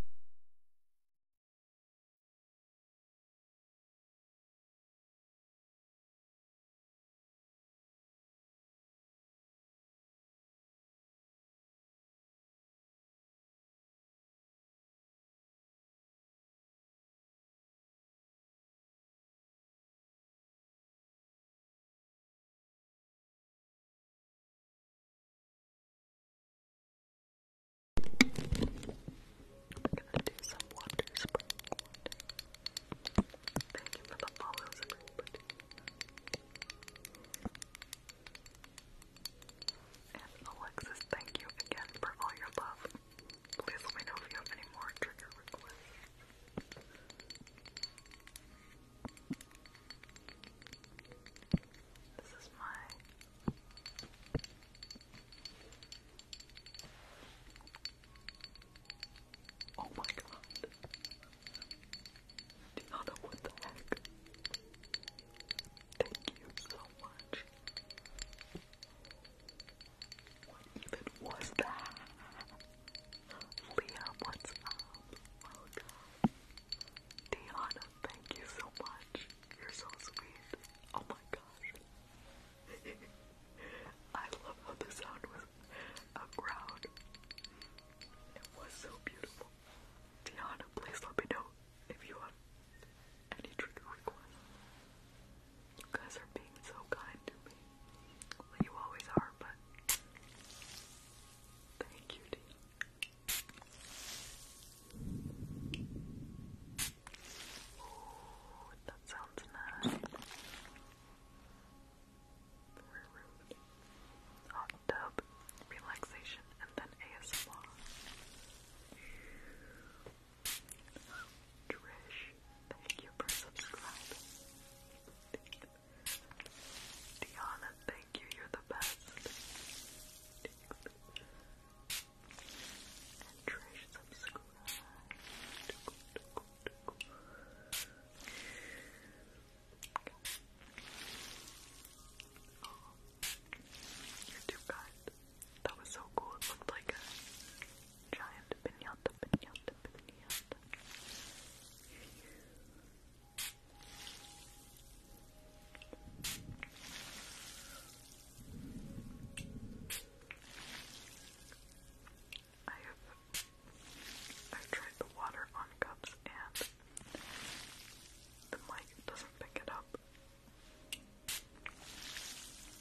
I'm gonna do some water Thank you for the follows, And Alexis, thank you again for all your love. Please let me know if you have any more trigger requests. This is my Oh my god. Do not know what the heck. Thank you so much. What even was that? Liam, what's up? Welcome. Diana, thank you so much. You're so sweet. Oh my gosh. I love how the sound was a crowd. It was so beautiful. Diana, please let me know if you have any trigger requests. You guys are being so kind to me you always are, but thank you, Oh, that sounds nice. Hot tub, relaxation, and then ASMR. Trish, thank you for subscribing. Thank you. Diana, thank you, you're the best. And Trish subscribed. Oh, YouTube guide. That was so cool. It looked like a giant pinata pinata, pinata, I've tried the water on cups and the mic doesn't pick it up.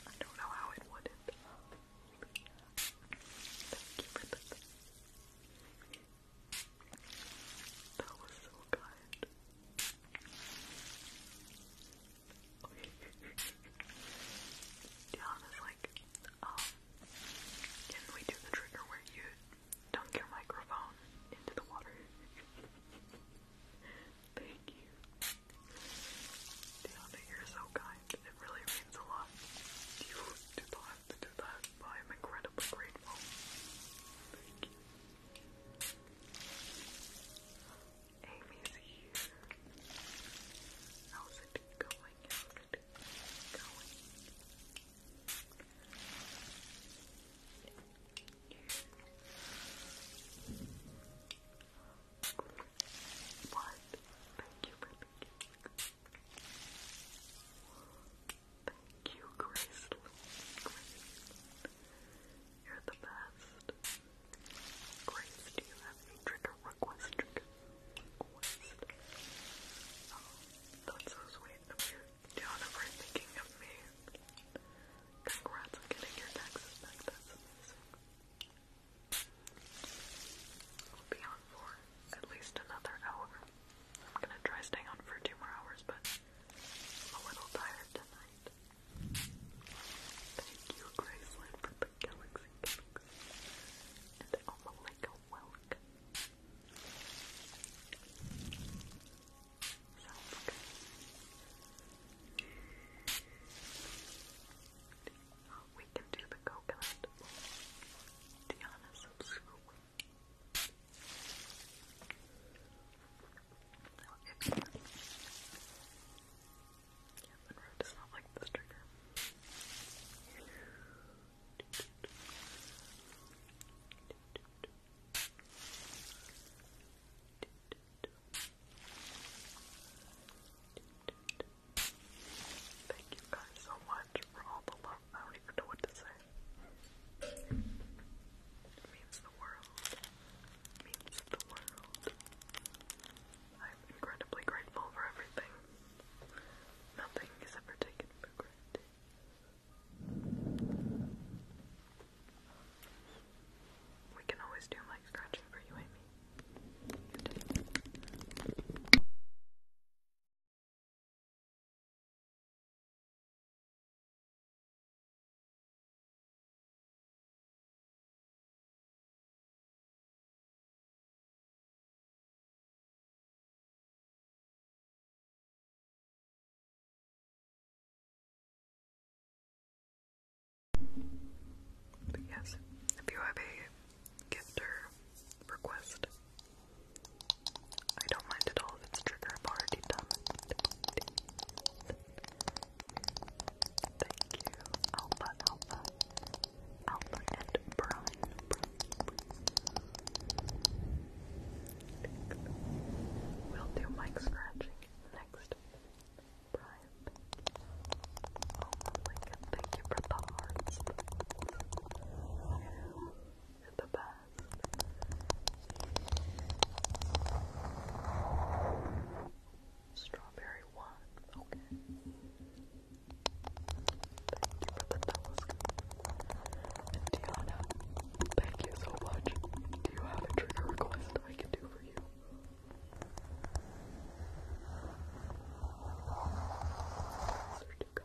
I don't know how it wouldn't. Thank you for that. That was so kind. Dion like, um, can we do the trigger where you dunk your microphone into the water? Thank you. Dion, you're so kind. It really means a lot. You did not have to do that, but I'm incredibly grateful. Thank you. Amy's here. How's it going? What? Thank you for the gift. Thank you, Grace. You're the best. Grace, do you have a trigger request? Oh, that's so sweet you, Diana, thinking of me. Congrats on getting your taxes back will be on for at least another hour. I'm gonna try staying on for two more hours, but a little tired tonight. Thank you, Graceland, for the galaxy And Alma like a we can do the coconut. Diana subscribe. Okay. Yeah, Monroe does not like this trigger. Thank you guys so much for all the love. I don't even know what to say. means the world. means the world. I'm incredibly grateful for everything. Nothing is ever taken for granted. We can always do mic scratching for you, Amy. You but yes, if you have a gift request. I don't mind at all it's trigger, I've Thank you, Alpha, Alpha, Alpha, and Brian. We'll do mic scratching next. Brian. Oh my thank you for the hearts. Strawberry one, okay. Thank you for the task. And thank you so much. Do you have a trigger request I can do for you? Those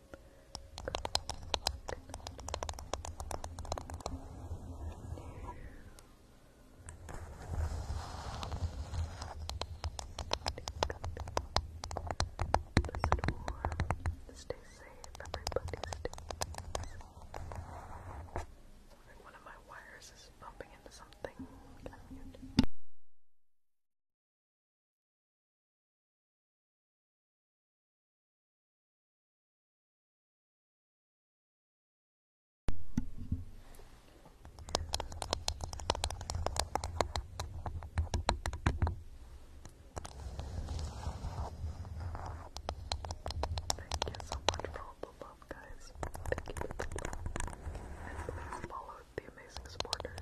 Stay safe, Stay safe. Like one of my wires is bumping into something. Thank you so much for all the love, guys. Thank you for the the amazing supporters.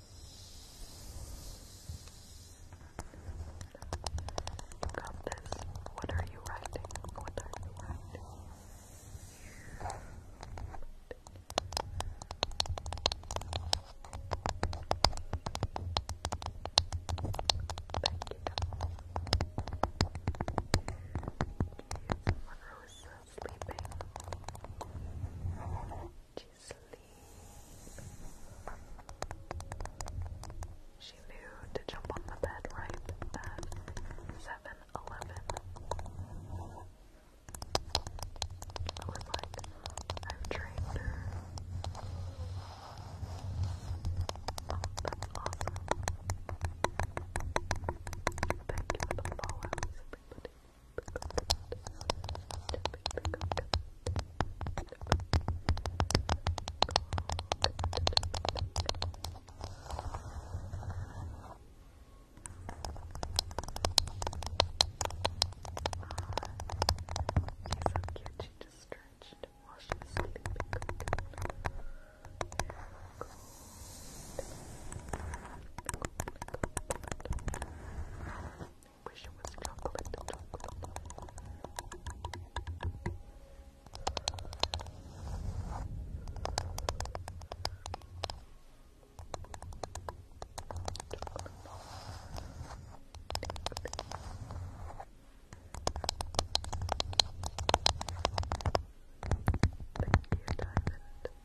You got this. What are you writing? What are you writing? Thank you. Rosa uh, sleeping she knew to jump on the bed right at 7 I have trained her. that's awesome. Thank you for the follows, everybody cute, she just stretched while she was sleeping. Cold. Wish it was chocolate, chocolate. Thank you, Diamond.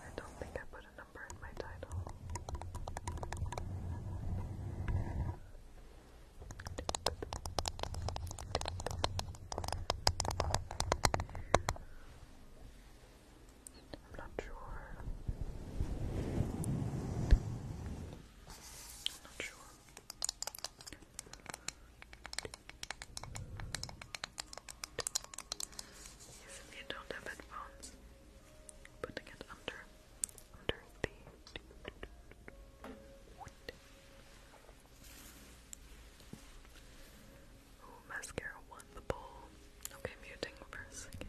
I don't think I put a number in my title. I'm not sure. I'm not sure if you don't have headphones, putting it under, under the mascara won the poll. Okay, muting for a second.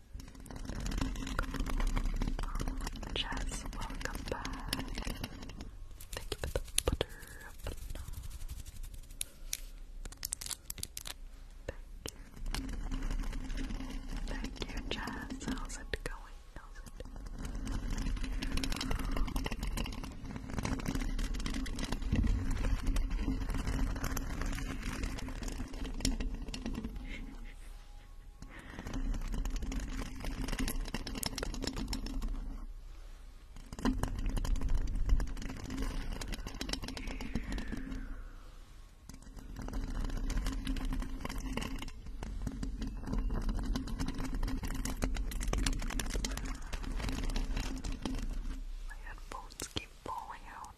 Jess, welcome back. Thank you for the butter. Thank you. Thank you, Jess. How's it going? My headphones keep falling out.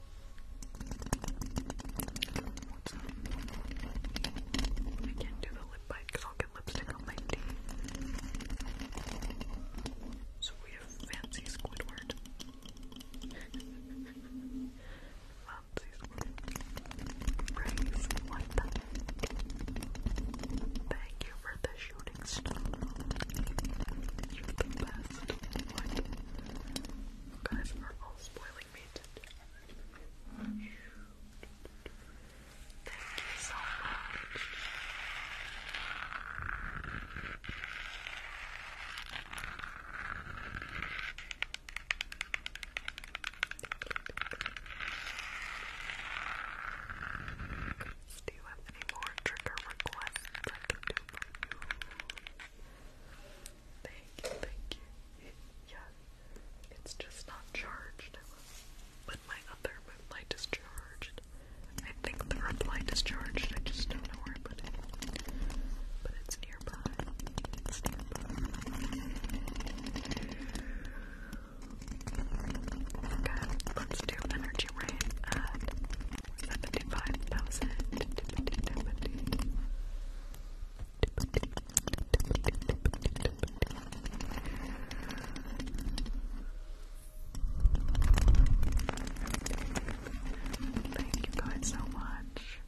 I can't do the lip bite because I'll get lipstick on my teeth. So we have Fancy Squidward. Fancy Squidward. Praise one Thank you for the shooting star. You're the best. You guys are all spoiling me today. Thank you so much. Do you have any more trigger requests I can do for you? Thank you, thank you. Yeah, it's just not charged. But my other moonlight is charged. I think the red light is charged, I just don't know where I put it. But it's nearby. It's nearby. Okay, let's do energy at uh, 75,000. Thank you guys so much.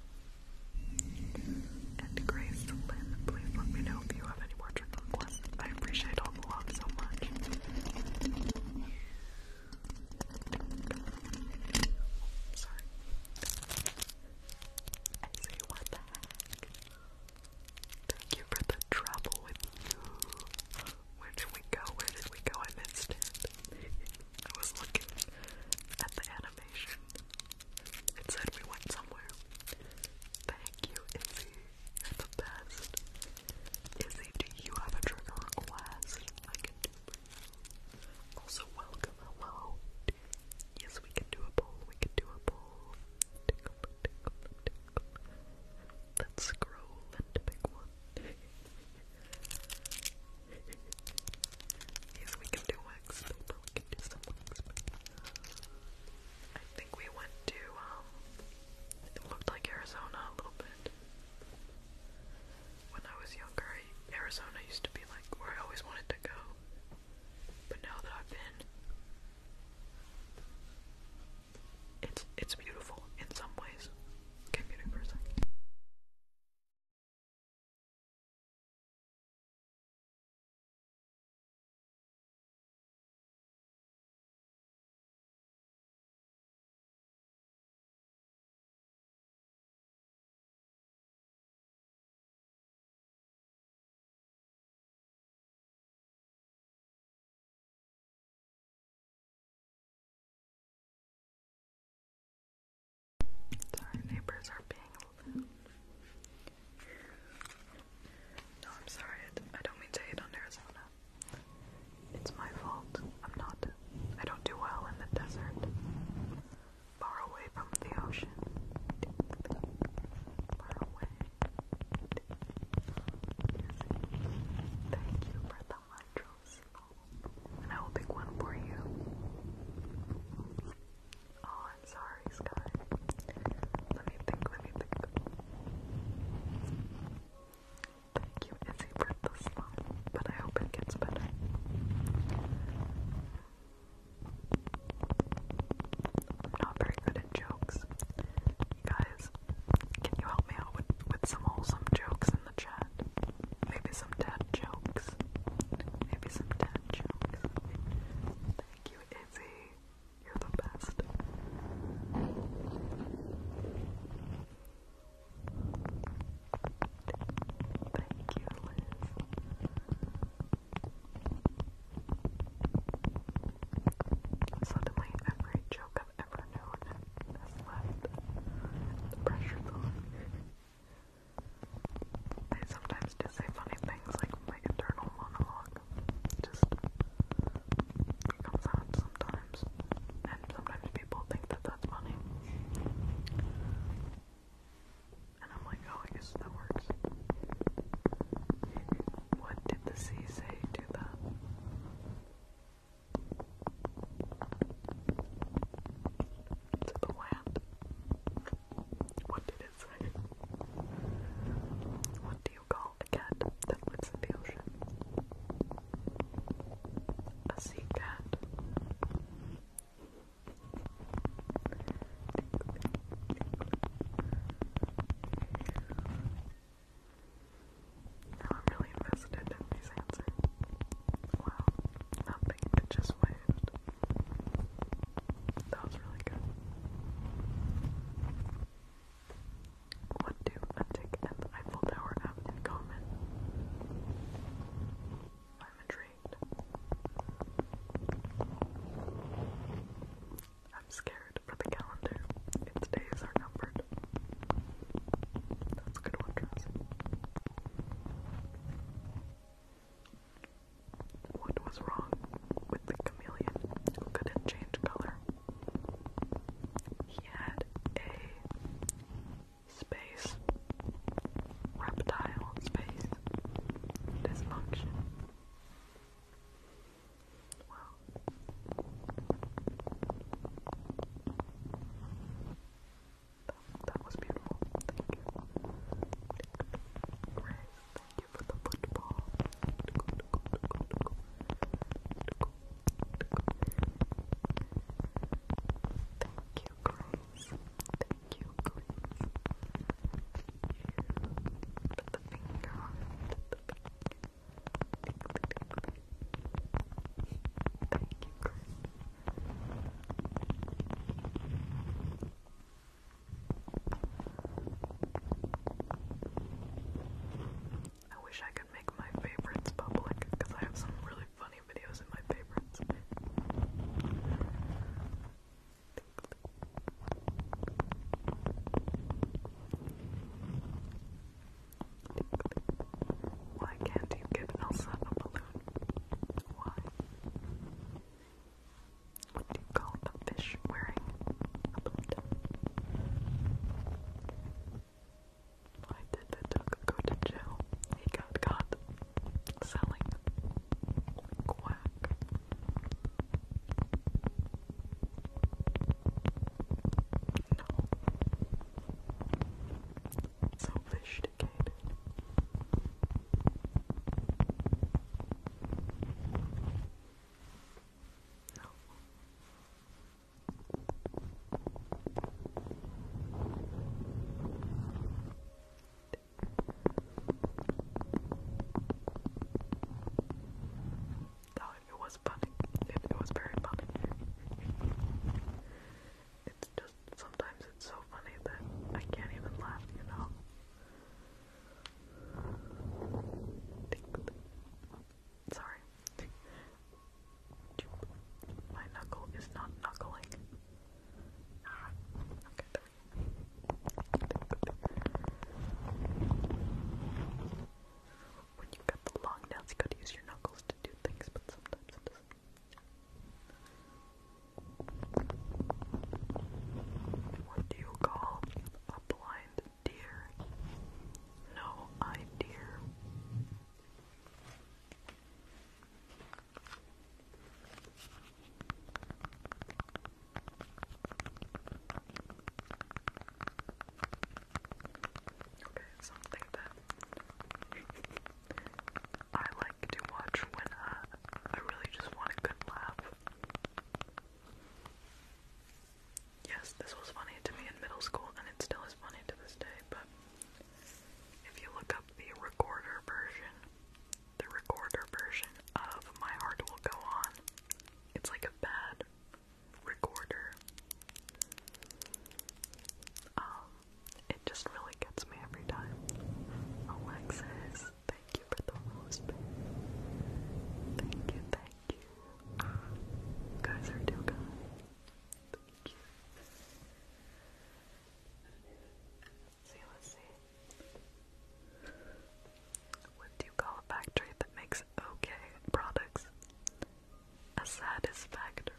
And Grace Lynn, please let me know if you have any portrait requests. I appreciate all the love so much. Sorry. I what the heck? Thank you for the trouble with you. Where did we go? Where did we go? I missed it. I was looking at the animation. It said we went somewhere. Thank you, Izzy. You're the best. Izzy, do you have a trigger request? Also, welcome, hello. Yes, we can do a poll, we can do a poll. Let's scroll and pick one. yes, we can do wax we can do some I think we went to, um, it looked like Arizona a little bit when I was younger, Arizona used to be like where I always wanted to go. But now that I've been, it's it's beautiful in some ways. Commuting for a second. Sorry, neighbors are being No, I'm sorry. I don't mean to hate on Arizona. It's my fault. I'm not. I don't do well in the desert. Far away from the ocean. Far away. Thank you for the mantras. And I will pick one for you. Oh, I'm sorry, Sky. Let me think, let me think. Thank you, Izzy, for the slime, but I hope it gets better. I'm not very good at jokes. You guys, can you help me out with, with some wholesome jokes in the chat? Maybe some dad jokes. Maybe some dad jokes. Thank you, Izzy. You're the best. Thank you, Suddenly, every joke I've ever known has left. The pressure's on. I sometimes just say funny things like my internal monologue. Just comes out sometimes. And sometimes people think that that's funny. And I'm like, oh, I guess that works. What did the sea say to that? To the land? What did it say? What do you call a cat that lives in the ocean? a secret. Now I'm really invested in these answers. Wow, nothing, just waved. That was really good. What do a tick and the Eiffel Tower have in common? I'm intrigued. I'm scared for the calendar. Its days are numbered. That's a good one, What was wrong with the chameleon couldn't change color? He had a space, reptile space, dysfunction. Well, that, that was beautiful. Thank you. thank you for the football. Thank you you, Grace. Thank you, Grace. Put the finger on it. Thank you, Grace. I wish I could make my favorites public because I have some really funny videos in my favorites. Why can't you give Elsa a balloon? Why? What do you call a fish wearing a balloon? I did the duck go to jail? He got caught selling quack. No. So sophisticated. No. No, it was funny. It, was very funny. It's just sometimes it's so funny that I can't even laugh, you know. Sorry. My knuckle is not knuckling. When you've got the long nails, you gotta use your knuckles to do things, but sometimes it does What do you call a blind deer? No idea. Okay, something that I like to watch when uh, I really just want a good laugh. Yes, this was funny to me in middle school, and it still is funny to this day, but if you look up the recorder version, the recorder version of My Heart Will Go On, it's like a bad recorder. Um, it just really gets me every time. Alexis, thank you for the host. Thank you, thank you. guys are too kind. Thank you. What do you call a factory that makes okay products? A satisfactory.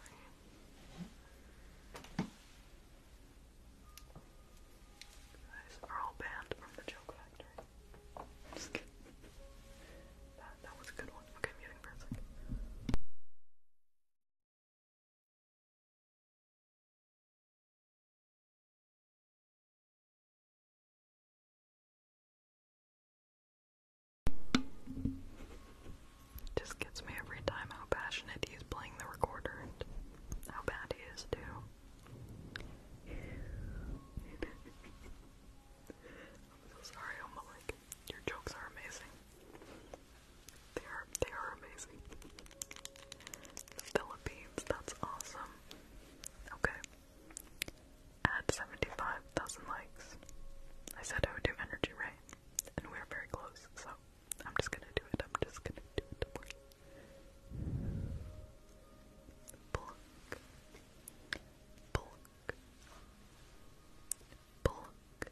Guys are all banned from the joke factory. That, that was a good one. Okay, i for a second. Just gets me every time how passionate he's playing the recorder and how bad he is too. I'm so sorry, Oma. your jokes are amazing. They are they are amazing. Philippines, that's awesome. Okay. Add 75,000 likes. I said I would do energy, right? And we're very close, so I'm just gonna do it. I'm just gonna do it. Pluck. Pluck. Pluck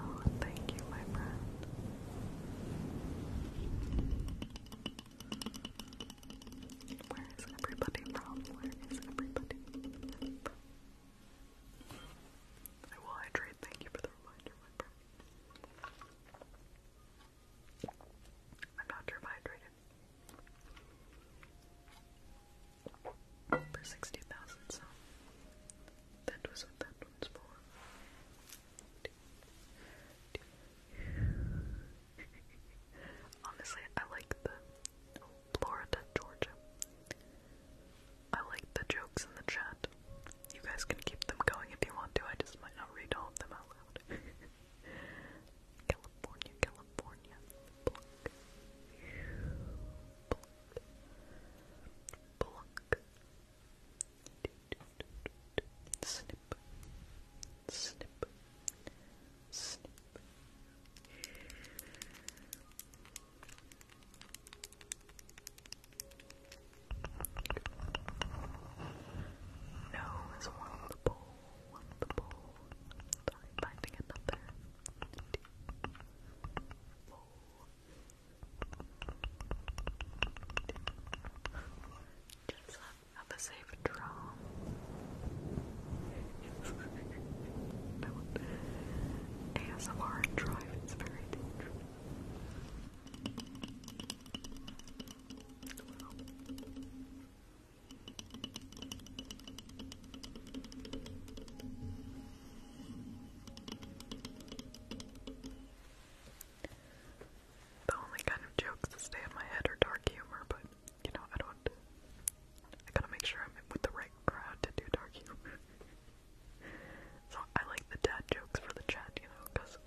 Oh, thank you, my friend. Where is everybody from? Where is everybody I will hydrate. Thank you for the reminder, my friend. I'm not sure for 60,000, so that was that one's for. Honestly, I like the Florida, Georgia. I like the jokes in the chat. You guys can keep them going if you want to. I just might not read all of them out loud. California, California pluck, pluck, pluck, snip, snip, snip. No is one of the bowl, one of the bowl. finding another. Just have a safe draw. no. ASMR drive is very dangerous. The only kind of jokes that stay in my head are dark humor, but you know, I don't. I gotta make sure I'm with the right crowd to do dark humor. so I like the dad jokes for the chat, you know, because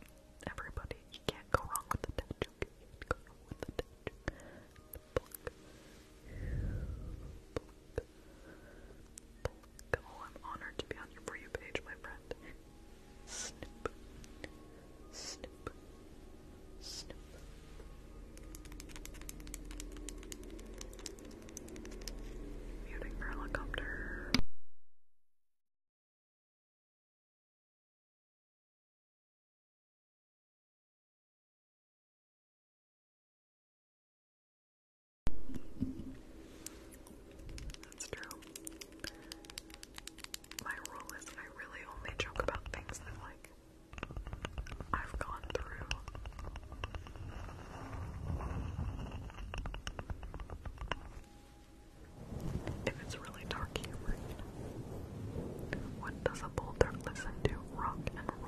everybody, you can't go wrong with the dad joke. Oh, I'm honored to be on your For page, my friend. Snip, snip, snip. Muting for that's true. My rule is I really only joke about things that like I've gone through. If it's really dark humor, what does a boulder listen to? Rock and roll.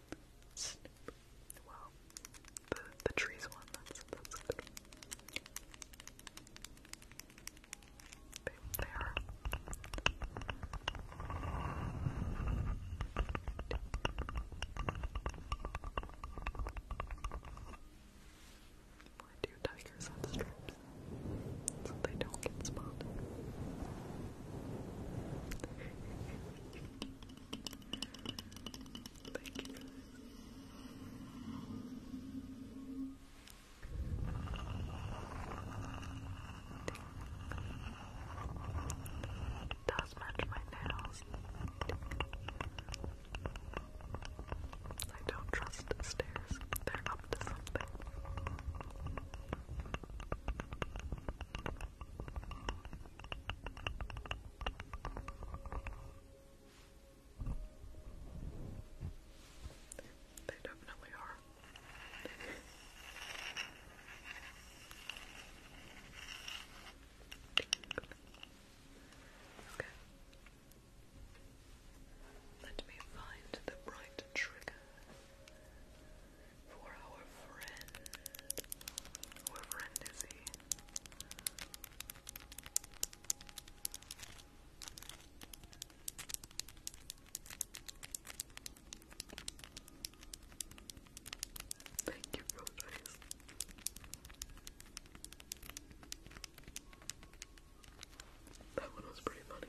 Well, the the trees one. That's that's good. They, they are. Why do tigers have So they don't get spotted. Thank you does match my nails. I don't trust stairs. They're up to something. They definitely are. okay. Let me find the right trigger for our friend. Our friend is he? Thank you, Road Eyes. That one was pretty funny.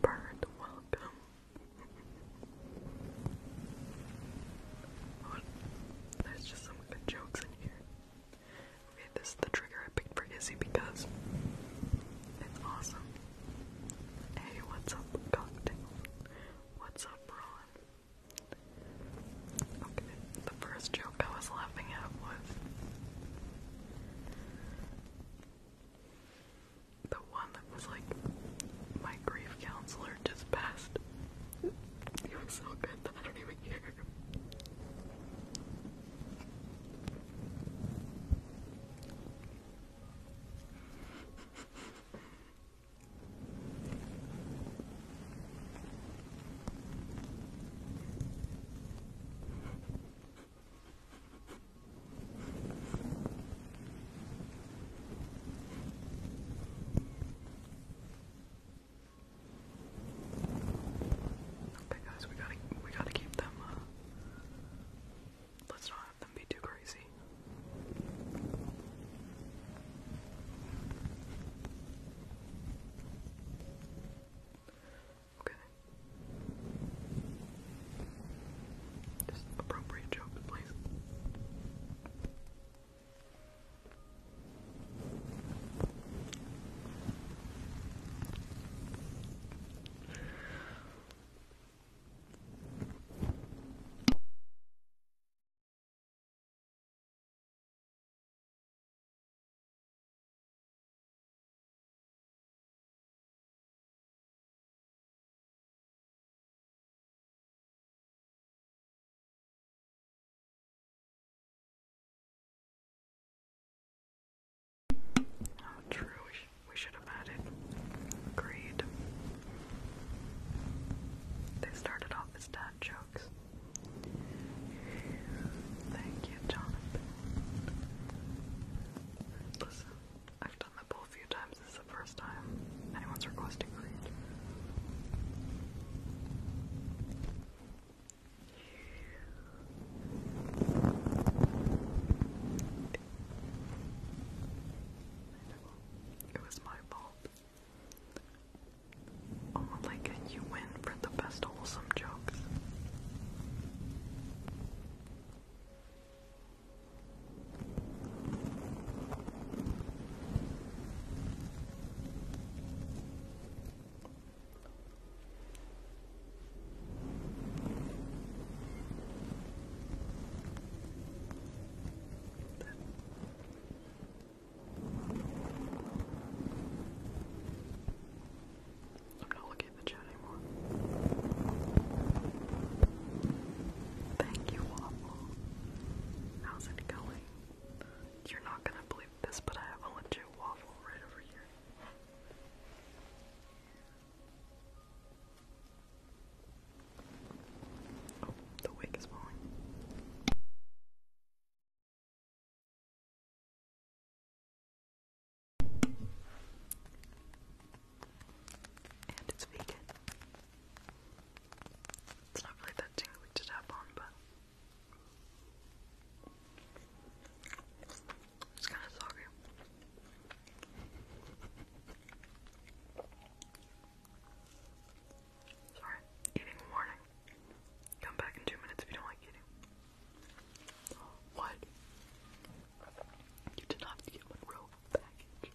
Bird, welcome. there's just some good jokes in here. Okay, this is the trigger I picked for Izzy because it's awesome. Hey, what's up, Cocktail? What's up, Ron? Okay, the first joke I was laughing at was the one that was like, my grief counselor just passed. It was so good that I don't even hear. Okay, guys, we gotta we gotta keep them. Uh, let's not have them be too crazy. Okay. Just appropriate jokes, please. Oh, true. We, should have had Agreed. They started off as dad jokes. Thank you, Jonathan. Listen, I've done that poll a few times. This is the first time anyone's requesting read. It was my fault. Oh my you win for the best wholesome jokes. I'm not looking at the anymore. Thank you, Waffle. How's it going? You're not gonna believe this, but I have a waffle right over here. Oh, the wig is falling. And it's vegan. It's not really that tingly to tap on, but it's kind of soggy. Sorry, eating warning. Come back in two minutes if you don't like eating. What? You did not have to get package.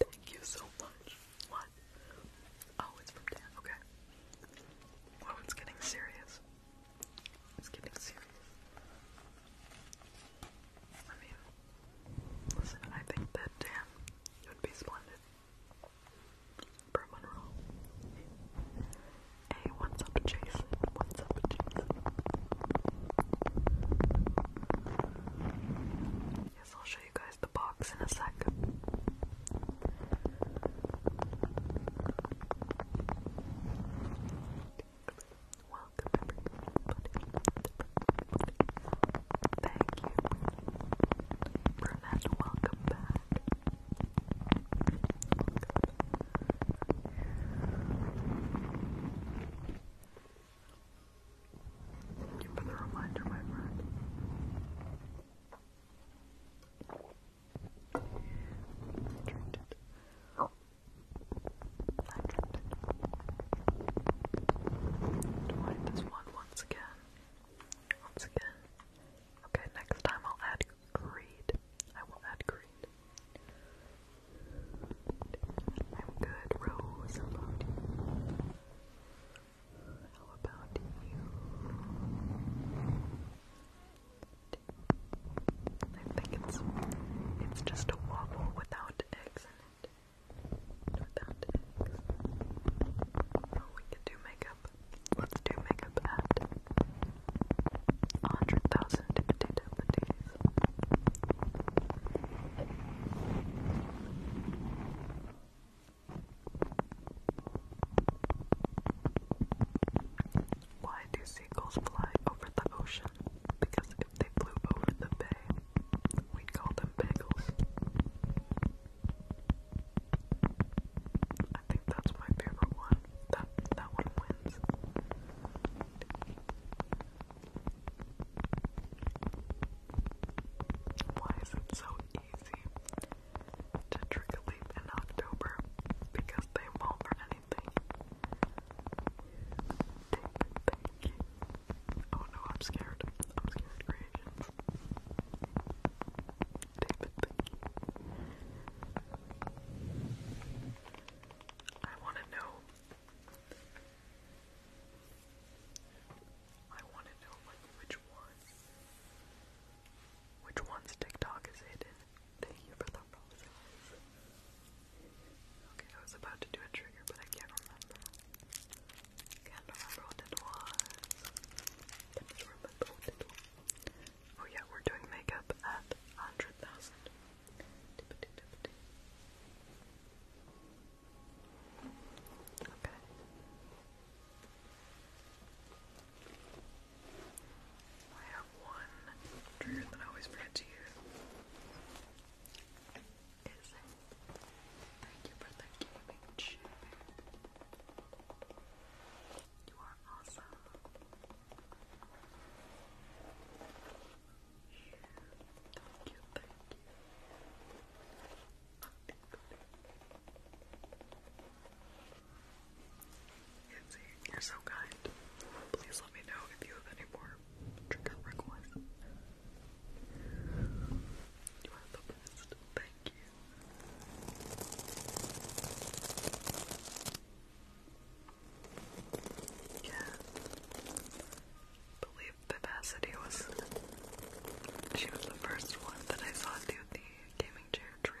Thank you so much. What? Oh, it's from Dan. Okay. Oh, it's getting serious. It's getting serious. I mean, listen, I think that Dan would be splendid. For Monroe. Hey, what's up, Jason? What's up, Jason? Yes, I'll show you guys the box in a sec. Welcome everybody. Thank you. Burnett, welcome back. Thank you the reminder, my friend. Hundred. this one once again. Once again. Okay, next time I'll add greed. I will add greed. I'm good, Rose. How about you? I think it's it's just a waffle without eggs in it. Without eggs. we can do makeup. Let's do makeup at 100,000 potatoes. Why do seagulls fly over the ocean? Because if they flew over the bay, we'd call them bagels. I think that's my favorite one. That that one wins. Why is it so easy? to trick a leap in October because they won't or anything. Thank you. Oh no, I'm scared. I'm scared, creations. David, thank you. I want to know. I want to know like which one which one's TikTok is hidden? Thank you for the roses. Okay, I was about to do a trigger, but I can't remember. Can't remember what it was. Oh yeah, we're doing makeup at 100,000. Okay. I have one trigger that I always forget to use. Is thank you for the gaming chair. You are awesome. Thank you, thank you. Thank you. Yancy, you're so kind. Please let me know if you have any more trigger requests. You are the best. Thank you. Yeah. believe Vivacity was. She was the first one that I saw do the gaming chair trio.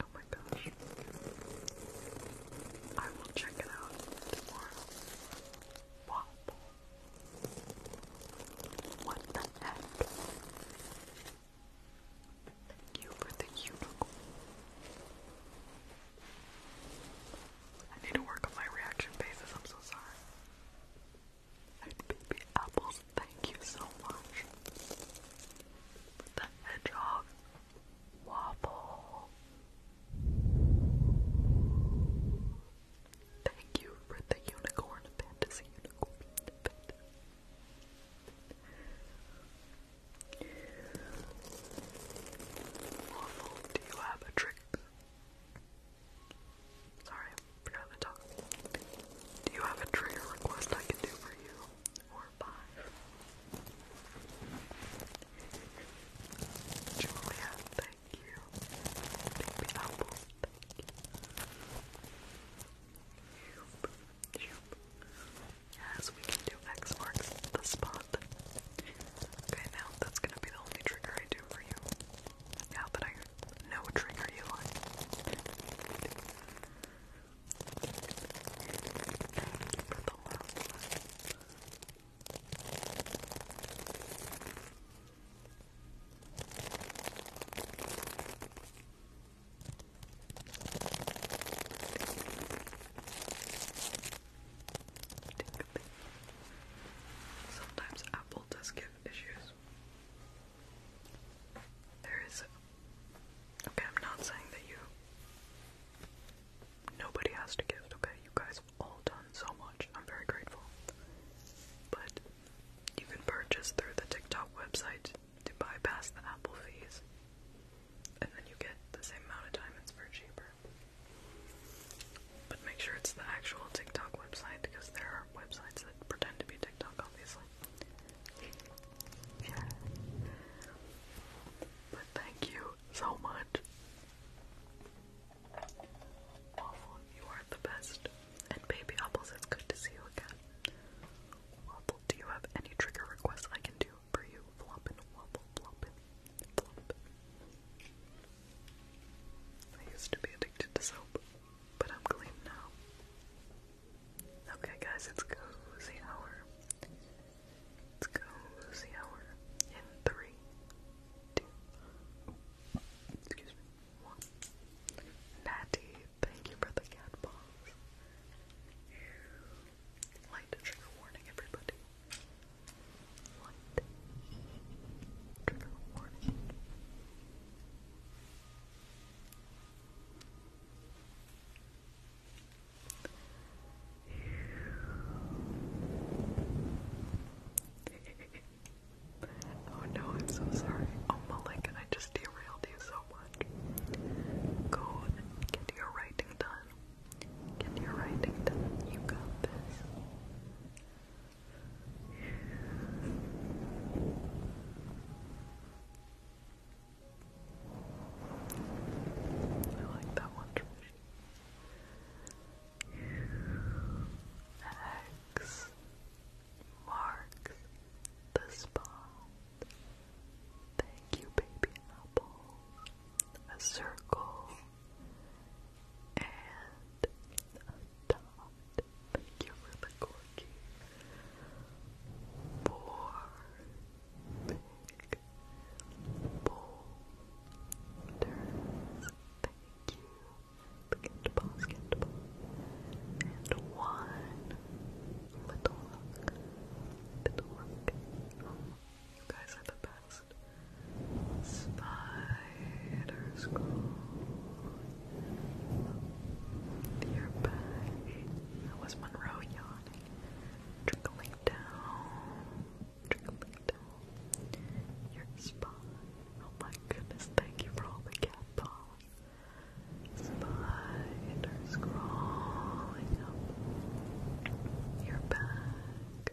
Oh my gosh. I will check it out tomorrow. What? What the heck? Thank you for the unicorn. I need to work on my reaction faces, I'm so sorry. baby apples, thank you so much. The hedgehog waffle. Thank you for the unicorn fantasy unicorn. Waffle, do you have a trick Sorry, forgot to talk. Do you have a trigger request I can do for you? Or five? Julia, thank you. Baby Apple, thank you. Yes, we can do X marks the spot. Okay, now that's gonna be the only trigger I do for you. Now that I know trigger you like. Sometimes Apple does give issues. There is. Okay, I'm not saying that you. Nobody has to gift, okay? You guys have all done so much. I'm very grateful. But you can purchase through the TikTok website to bypass the Apple fees. And then you get the same amount of diamonds for cheaper. But make sure it's the actual TikTok website because there are websites that pretend to be TikTok, obviously. Yeah. But thank you so much. Waffle, you are the best. And baby apples, it's good to see you again. Waffle, do you have any trigger requests I can do for you? Floppin', waffle, floppin', flop. I used to be addicted to soap, but I'm clean now. Okay, guys, it's cozy hour. It's cozy hour in three, two, excuse me, one. Natty, thank you for the cat paws. Light trigger warning, everybody. What? oh no, I'm so sorry. Oh Mulligan, I just derailed you so much. Go get your writing done. Get your writing done. You got this. I like that one. X marks the spot. Thank you, baby apple. A circle and adopt. Thank you for the corky. Four big boulders. Thank you. Get And one little rock. Little rock. you guys are the best. Spiders crawling your back. That was Monroe yawning. Trickling down. Trickling down. Your spine. Oh my goodness, thank you for all the cat paws. Spiders crawling up your back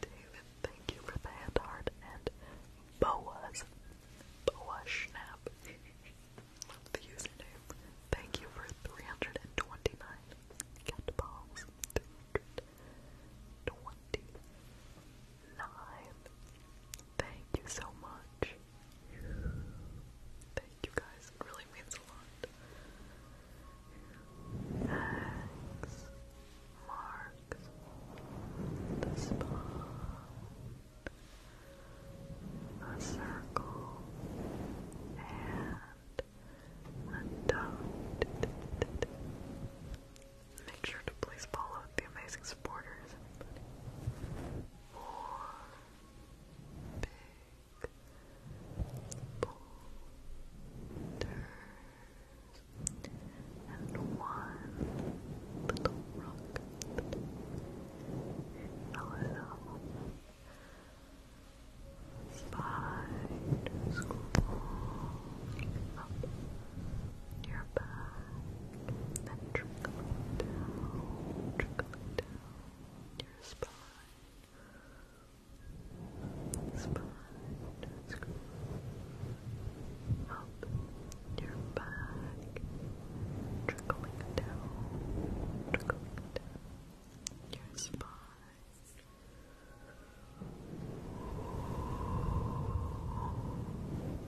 David. thank you for the hand heart and Boa's Boa Schnapp. the username. Thank you for 329 cat balls. 329. Thank you so much you guys. It really means a lot. X marks the spot. A circle and a dot. Make sure to please follow the amazing supporters, Four big boulders, and one little rock a little spider up your back then trickling down, trickling down your spine spine, that's Up your back, trickling down, trickling down your spine.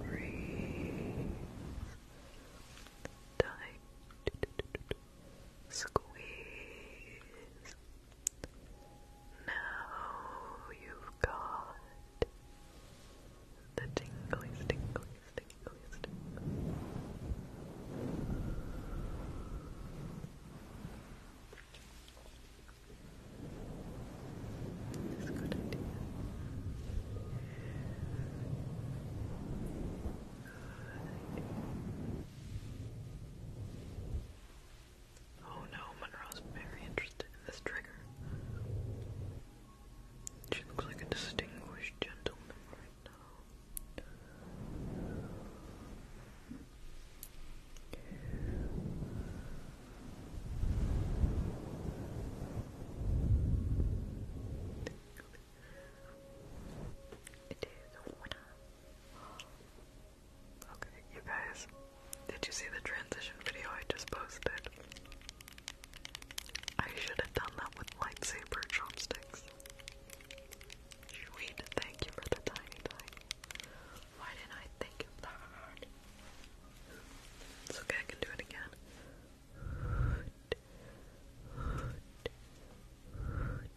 Breathe. Tight. Squeeze. Now you've got the tinglies, tinglies, tinglies, tinglies. a good idea. Good idea. Oh no, Monroe is very interested in this trigger. She looks like a distinguished gentleman right now. It is a winner. Okay, you guys, did you see the transition video I just posted? I should have done that with lightsaber chopsticks. Sweet, thank you for the tiny tiny. Why didn't I think of that? It's okay, I can do it again.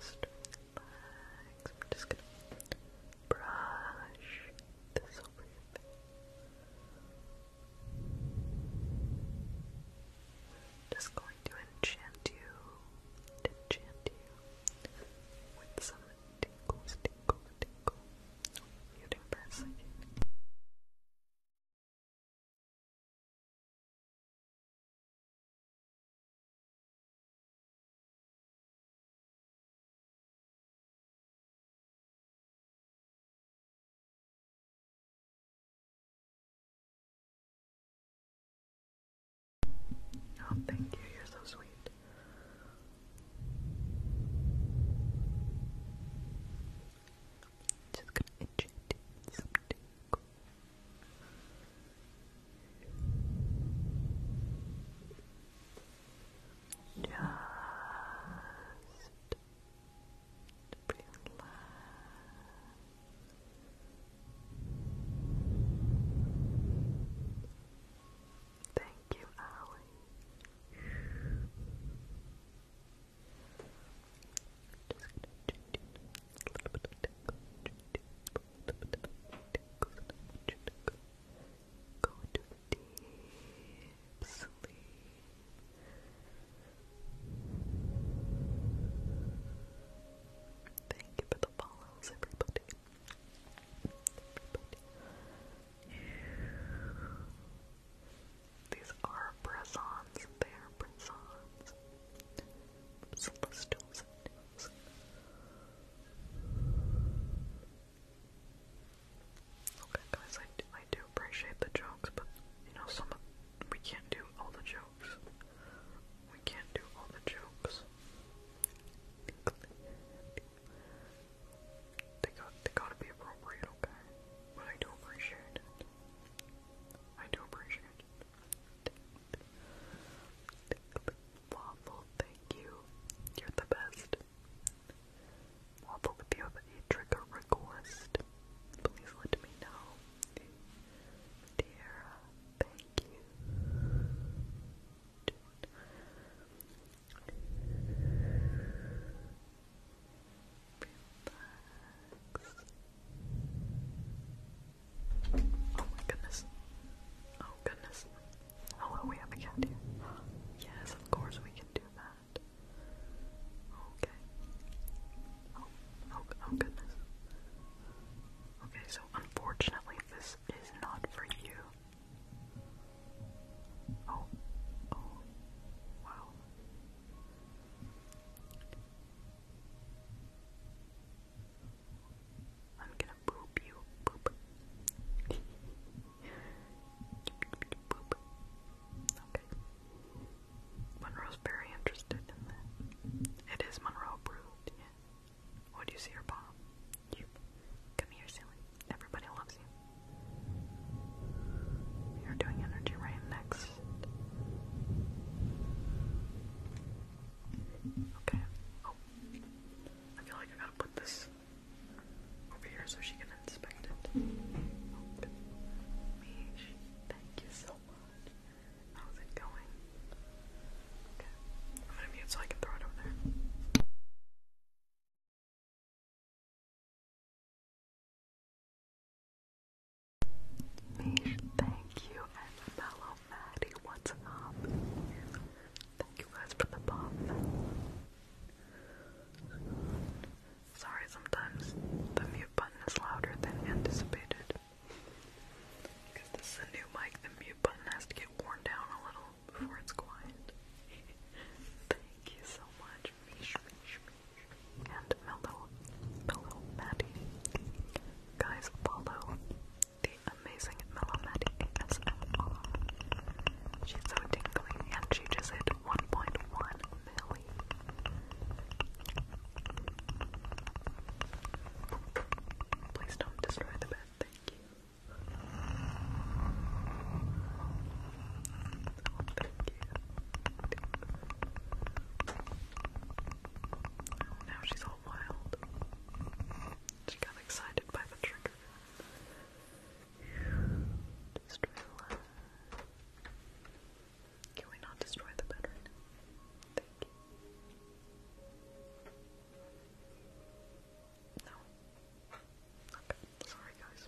Just relax. I'm just gonna brush this over Just going to enchant you, enchant you with some tingles, tingles, tingles. Muting for a second. Oh, thank you. You're so sweet. Just gonna inject some tinkle. Just relax. Thank Thank you, Just a little bit of Go deep sleep. Thank you for the follows, everybody. These are press They are press-ons. Okay, guys, I I do appreciate the jokes, but you know, some of, we can't do all the jokes. We can't do all the jokes. They got they gotta be appropriate, okay? But I do appreciate it. I do appreciate it. Waffle, thank you. You're the best. Waffle, if you have a trigger request, please let me know. Dear, thank you. Oh my goodness. Oh goodness. Oh, we have a cat here. Yes, of course we can do that. Okay. oh, oh, oh goodness. Okay, so unfortunately, this is not for you. Oh, oh, wow. I'm gonna poop you, poop. poop. Okay. Monroe's very interested in that. It is Monroe brewed, yeah. What do you see your paw? Come here, silly. Everybody loves you. You're doing energy right next. Okay. Oh. I feel like I gotta put this over here so she can inspect it. Oh, thank you so much. How's it going? Okay. I'm gonna mute so I can throw it over there. Mish, thank you, and fellow Maddie, what's up? Thank you guys for the pop. Sorry, sometimes the mute button is louder than anticipated. Because this is a new mic, the mute button has to get worn down a little before it's quiet. Thank you so much, and Mellow, Mellow Maddie. Guys, follow the amazing Mellow Maddie She's so tingly, and she just hit 1.1 million. Please don't destroy the bed, thank you. Now she's all wild. She got excited by the trigger. Just Can we not destroy the bed Thank you. No. Okay. Sorry, guys.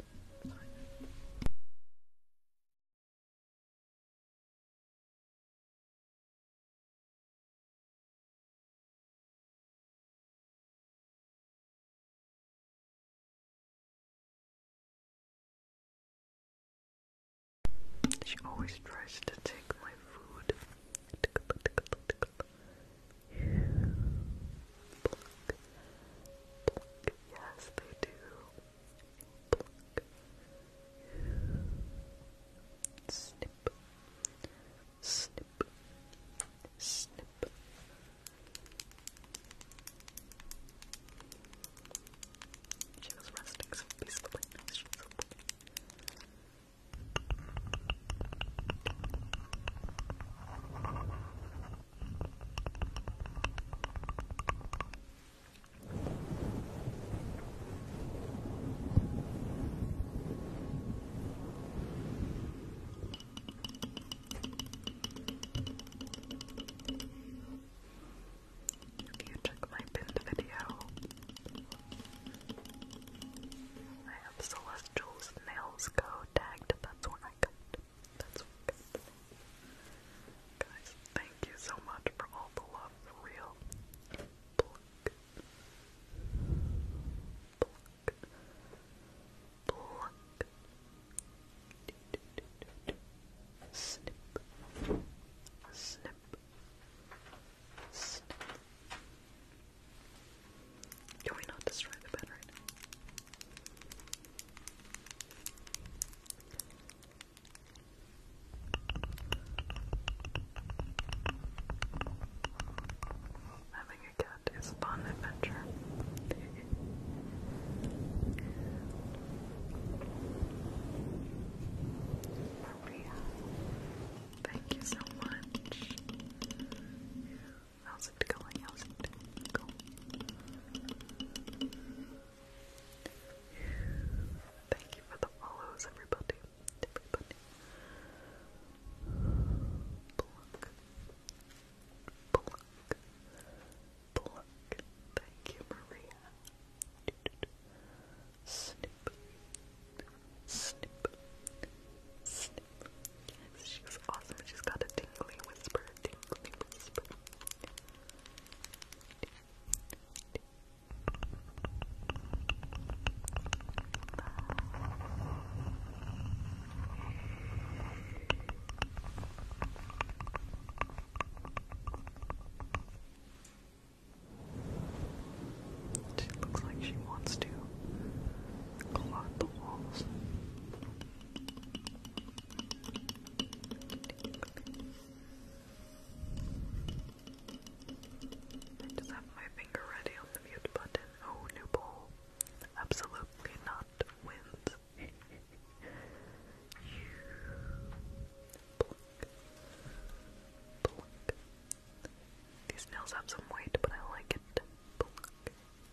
She always tries to take my food. Pluck. Pluck. Yes, they do. Snip. Snip. Snip. She was resting peacefully. She was so if you took my pinned video, I have Celestial's nails go tag that's where I cut. That's where I cut. Guys, thank you so much for all the love, real. Can we not destroy the bed Having a cat is a fun adventure. Maria, thank you so much. How's it going? How's it going? Thank you for the follows, everybody. Everybody. Pluck. Pluck. Pluck. Thank you, Maria. Snip. Snip. Yes, she's awesome. She's got a tingly whisper, tingly whisper. She looks like she wants to clog I just have my finger ready on the mute button. Oh, new bowl. Absolutely not wins. These nails have some weight, but I like it.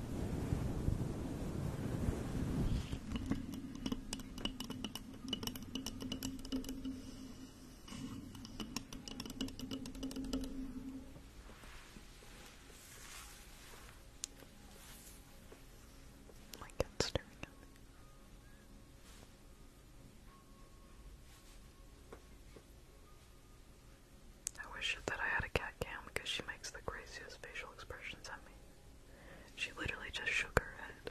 Oh my cat's staring at me. I wish that I had a cat cam because she makes the craziest facial expressions at me. She literally just shook her head.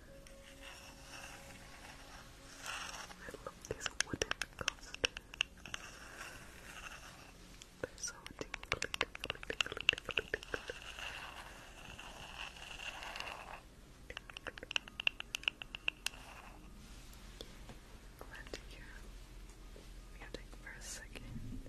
I love these wooden coasters. They're so tingly, tingly, tingly, hear music for a second.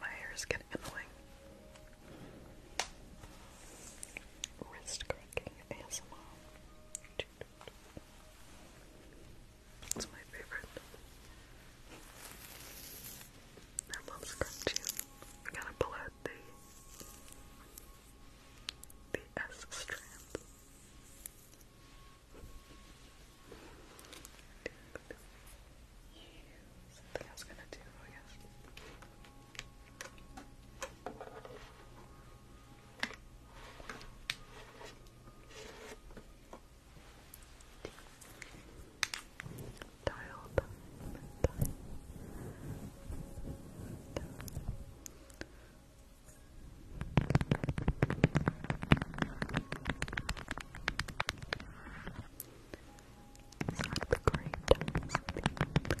My hair is getting annoying. Wrist cracking your It's my favorite. I love gonna pull out the the S strand. Something I gonna do, I guess. Dial time, time. It's like the great, it's like the, the great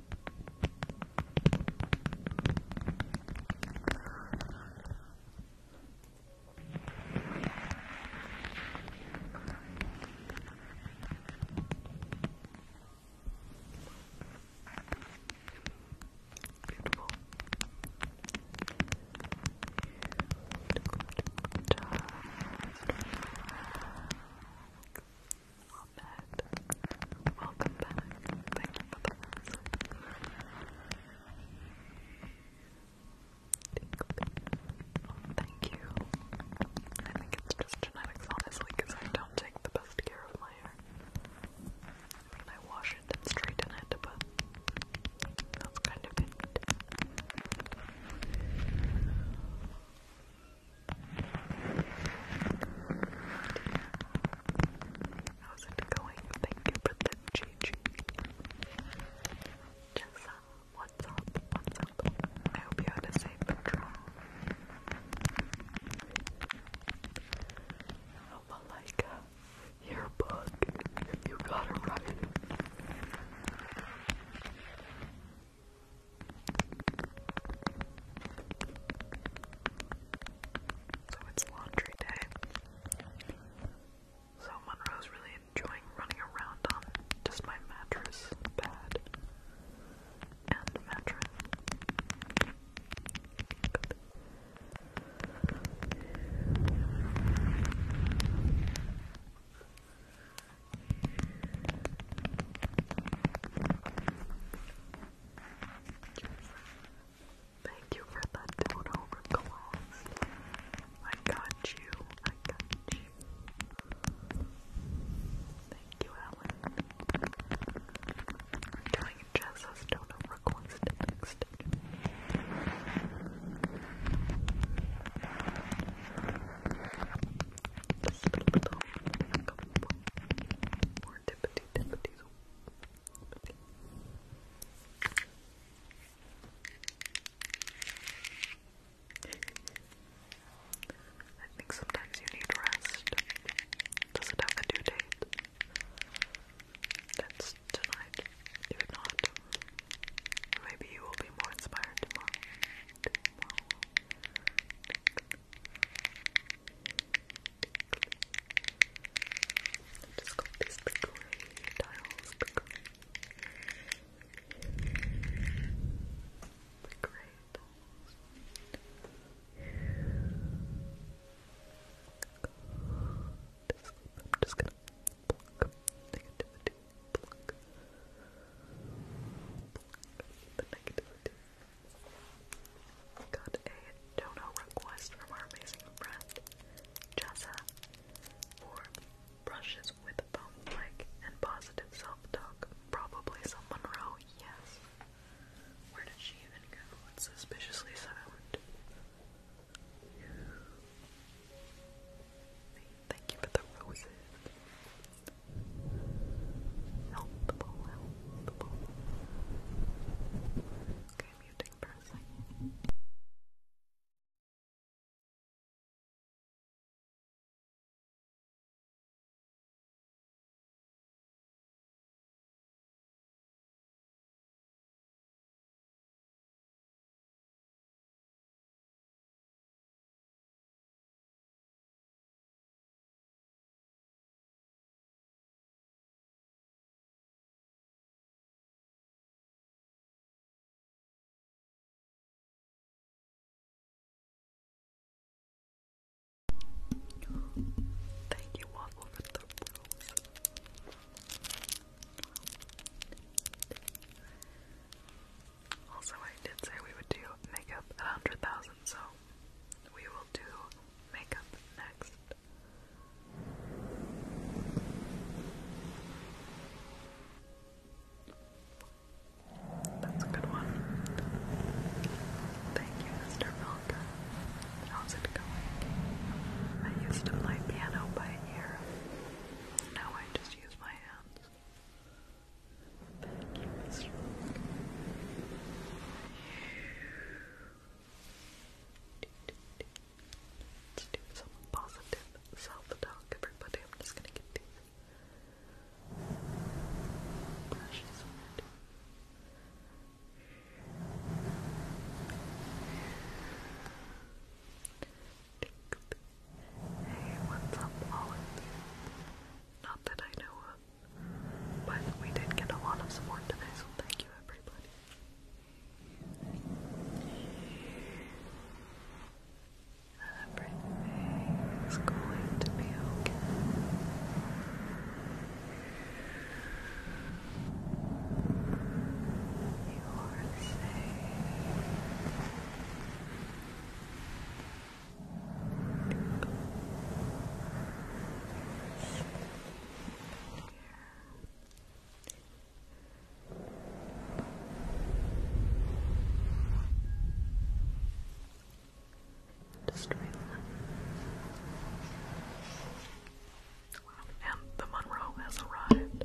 Beautiful. Good job. Relax. Welcome back. Thank you for the lesson. thank you. I think it's just genetics, honestly, because I don't take the best care of my hair. I I wash it and straighten it, but that's kind of it. How's it going? Thank you for the GG. Jessa, what's up? What's up? I hope you had a safe patrol. Oh, your book. You got it right. So it's laundry day. So Monroe's really enjoying running around on just my mattress, bed, and mattress. Thank you for that don't I got you. I got you. Thank you, Alan. We're doing it just as don't overclose the next just a more tippity tippities. I think sometimes you need rest. Does it have a due date? That's tonight. If not, maybe you will be more inspired Tomorrow. I've just got these big tiles, big I'm just gonna pluck negativity, pluck, the negativity. Got a dono request from our amazing friend, Jessa, for brushes with foam like and positive self-talk. Probably some Monroe, yes. Where did she even go? It's suspiciously silent. Thank you for the roses okay muting for a second. Thank you, Waffle, for the rules. Also, I did say we would do makeup at 100,000, so we will do makeup next. That's a good one. Thank you, Mr. Milka. How's it going? I used to play piano by ear. Now I just use my hands. Thank you, Mr. Let's do some positive self-talk, everybody. I'm just gonna get these brushes on it. Hey, what's up, Olive? Not that I know of, but we did get a lot of support today, so thank you, everybody. Everything is going to be okay. You are safe. Here. Just and the Monroe has arrived.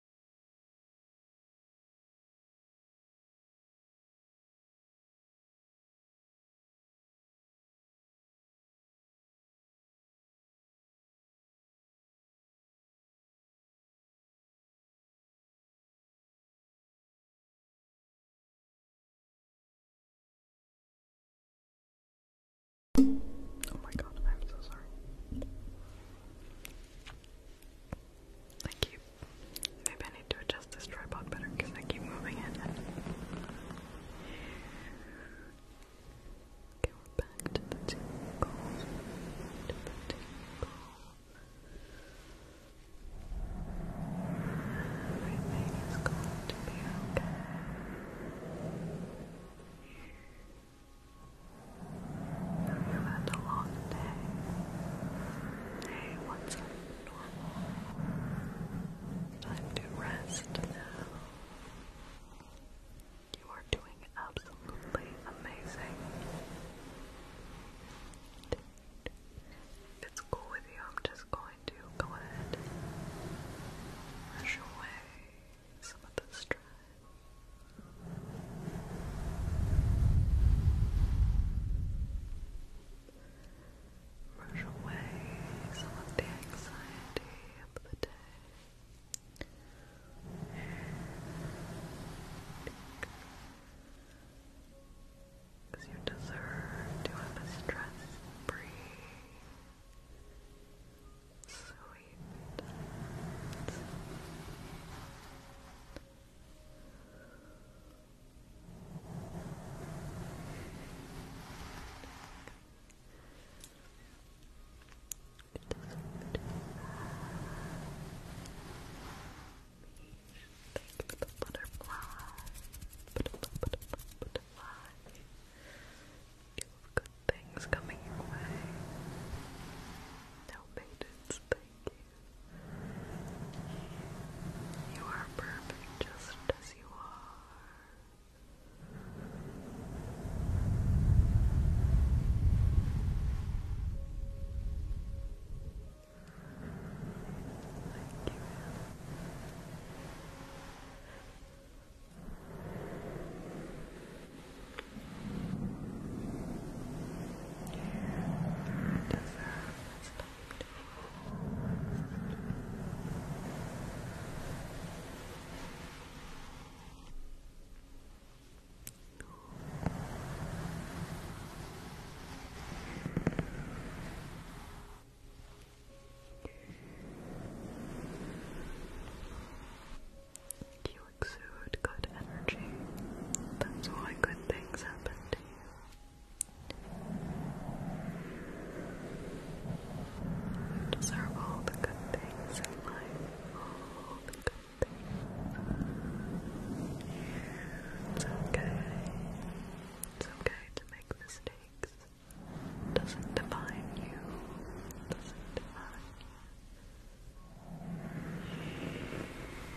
Oh my god, I'm so sorry. Thank you Maybe I need to adjust this tripod better because I keep moving it. Okay, we're back to the tingle. To the tingle. Everything is going to be okay you had a long day. Hey, what's normal? Time to rest now. You are doing absolutely amazing. If it's cool with you, I'm just going to go ahead and away some of the stress. Brush away some the anxiety of the day. Because you deserve to have a stress-free, sweet, sweet the butterfly. Butterfly, butterfly, butterfly. You have good things coming your way. No maidens, thank you. You are perfect just as you are. Thank you aspect. You exude good energy. That's why good things happen to you. You deserve all the good things in life, all the good things. It's okay. It's okay to make mistakes. doesn't define you. doesn't define you.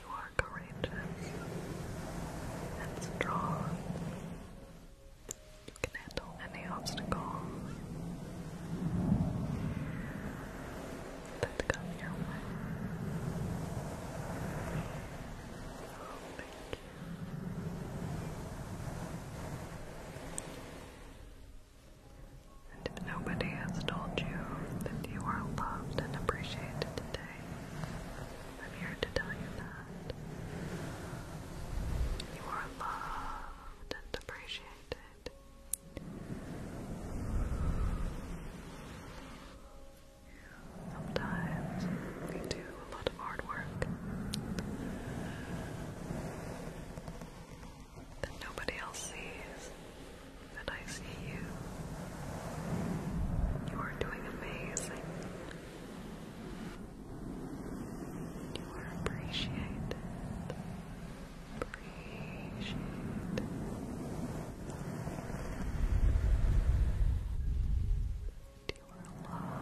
You are courageous and strong. You can handle any obstacle that come your way. thank you. And if nobody has told you that you are loved and appreciated today, I'm here to tell you that. You are loved and appreciated. Sometimes we do a lot of hard work that nobody else sees, that I see you. You are doing amazing. You are appreciated. Appreciated. You are loved.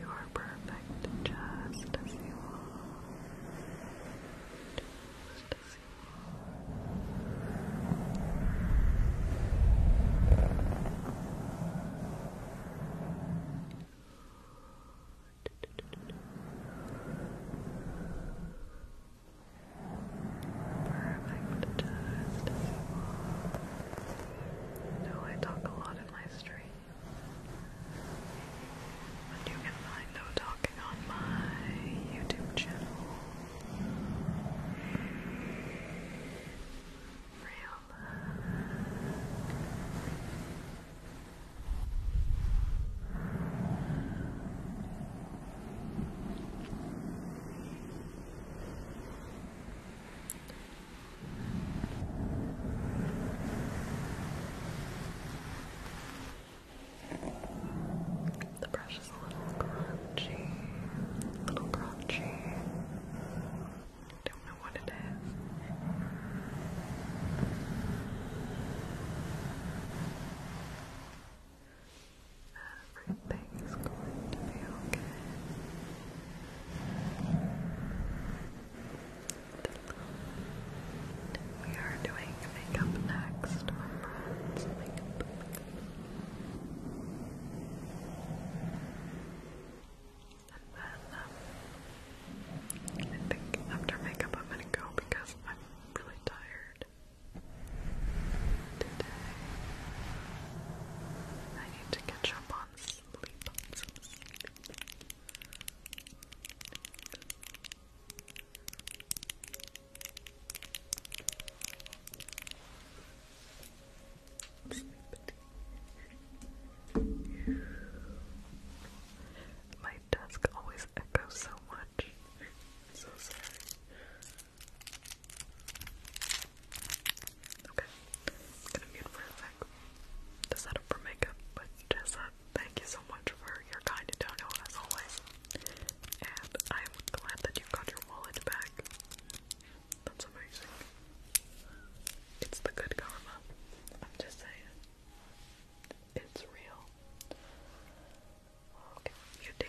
You are perfect just as you are. Perfect, just as I talk a lot in my stream. But you can find no talking on my YouTube channel. Real love. The brush is a little crunchy, a little crunchy. Don't know what it is. Everything is going to be okay. We are doing makeup next, remember? It's makeup, makeup. And then, um, I think after makeup I'm gonna go because I'm really tired today. I need to catch up on sleep. My desk always echoes so much. am so sorry. Okay, gonna mute for a sec. The setup for makeup, but Jessa, thank you so much for your kind dono as always. And I'm glad that you got your wallet back. That's amazing. It's the good karma. I'm just saying. It's real. Okay, you ding.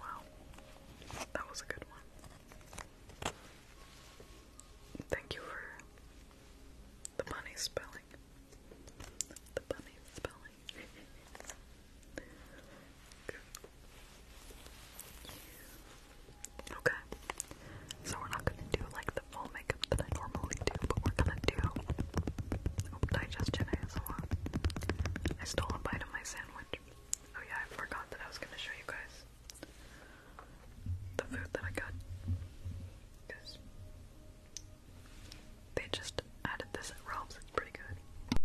Wow, that was a good one. Thank you for the bunny spelling. The bunny spelling okay. So we're not gonna do like the full makeup that I normally do, but we're gonna do digestion I stole a bite of my sandwich. Oh yeah, I forgot that I was gonna show you guys the food that I got. Cause they just added this at Ralph's. It's pretty good.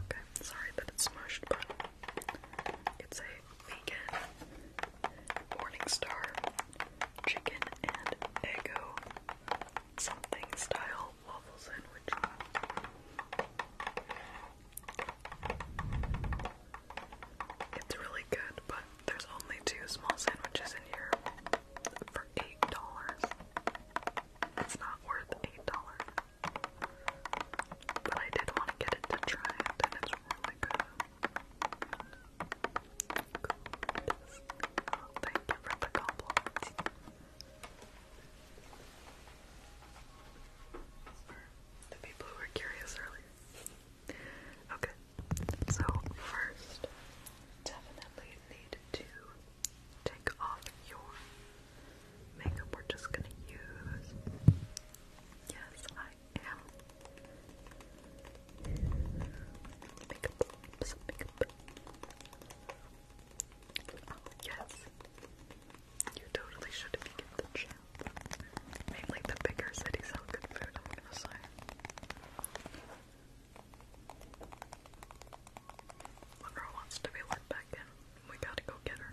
Okay, sorry that it's smushed, but it's a vegan Morningstar chicken and Eggo something style waffle sandwich. It's really good, but there's only two small sandwiches in here for eight dollars. It's not worth eight dollars. But I did want to get it to try it and really good. Goodness. for the compliment. The people who were curious earlier. Okay, so first, definitely need to take off your makeup. We're just gonna use. Yes, I am. Makeup, oh, yes. You totally should if you get the chance. Mainly the bigger cities sell good food, I'm gonna say. The girl wants to be let back in. We gotta go get her.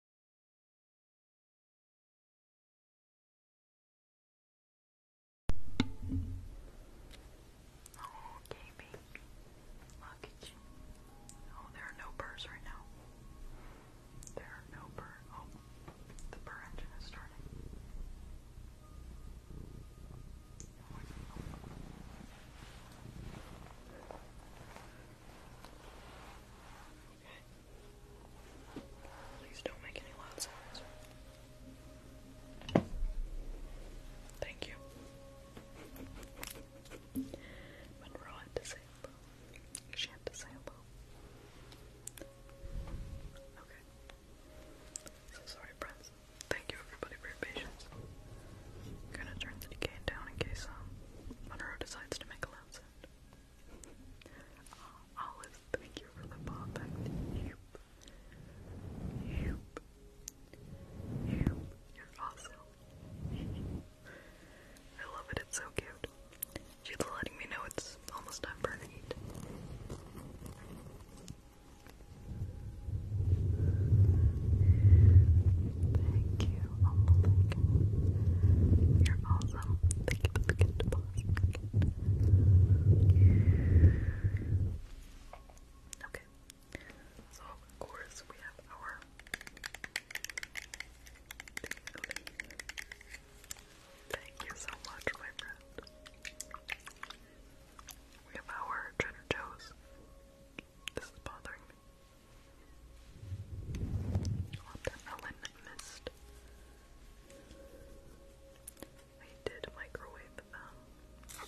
Okay, baby. Luggage. Oh, there are no burrs right now. There are no burr. Oh, the burr engine is starting. Please don't make any loud sounds. Thank you. But we to say hello. She had to say hello. Okay. So sorry, friends. Thank you everybody for your patience. gonna turn the decay down in case um, Monroe decides to make a loud sound. Oh, thank you for the ball back to you. You're awesome. I love it, it's so cute. She's letting me know it's almost time for her to Thank you, Olive. You're awesome. Thank you for the gift box. Okay. So of course we have our Thank you so much, my friend. We have our cheddar toes. This is bothering me. I'll have that Ellen missed. I did microwave them.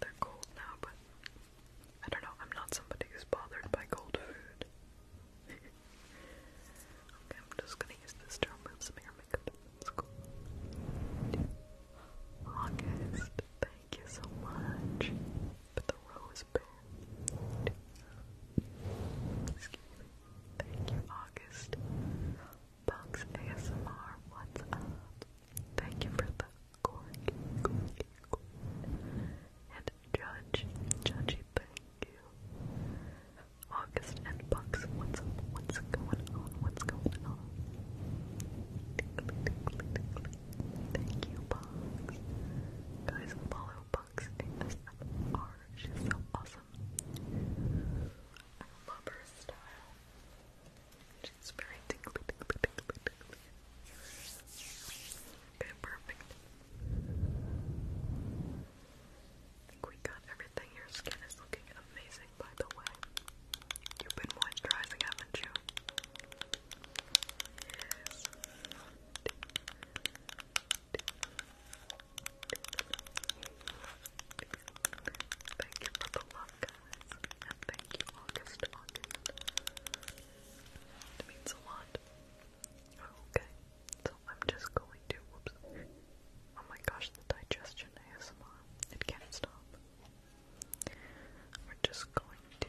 They're cold now, but I don't know. I'm not somebody who's bothered by cold food. okay, I'm just gonna use this to makeup. That's cool. August, thank you so much. But the rose Excuse me. Thank you, August. Bugs ASMR, what's up? Thank you for the cork, And Judge, Judgy, thank you. August and Bugs, what's What's going on? What's going on? Thank you, Bugs. Guys, follow She's so awesome. I love her style. She's very perfect. think we got everything. Your skin is looking amazing, by the way. You've been moisturizing, haven't you? Thank you for the love, guys. And thank you, August, August. It means a lot. Okay, so I'm just going to. Oh my gosh, the digestion ASMR. It can't stop. We're just going to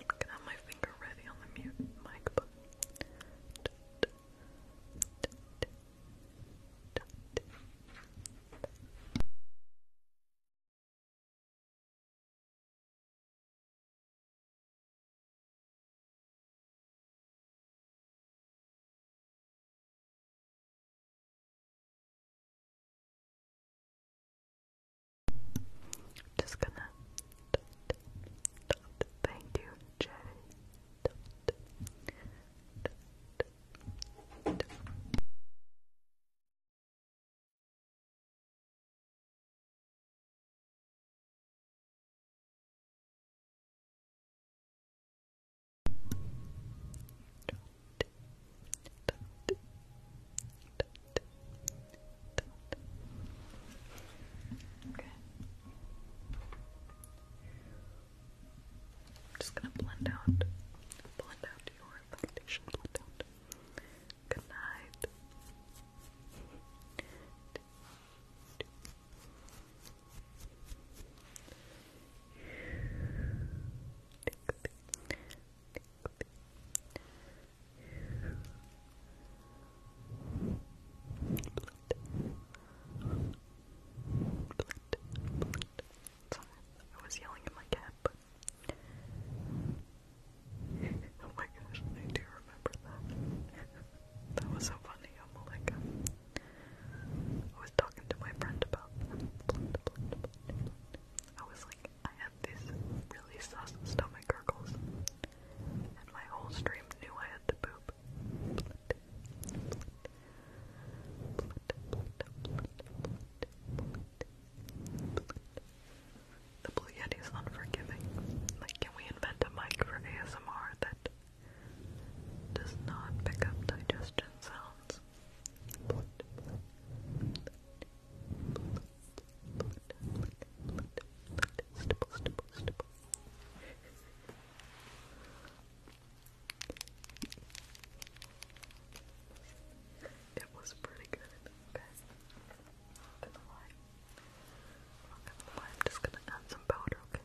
I'm gonna have my finger ready on the mute mic button. Just gonna thank you, Jay. Okay. I'm just gonna blend out, blend out your foundation, Good night. I was yelling at my cap. oh my gosh, I do remember that. that was so funny. i oh I was talking to my friend about I was like, I had these really sus stomach gurgles, and my whole stream knew I had to poop. The Blue yeti is unforgiving. Like, can we invent a mic for ASMR that does not pick up digestion sounds? It was pretty good, okay? not gonna lie. not gonna lie, I'm just gonna add some powder, okay?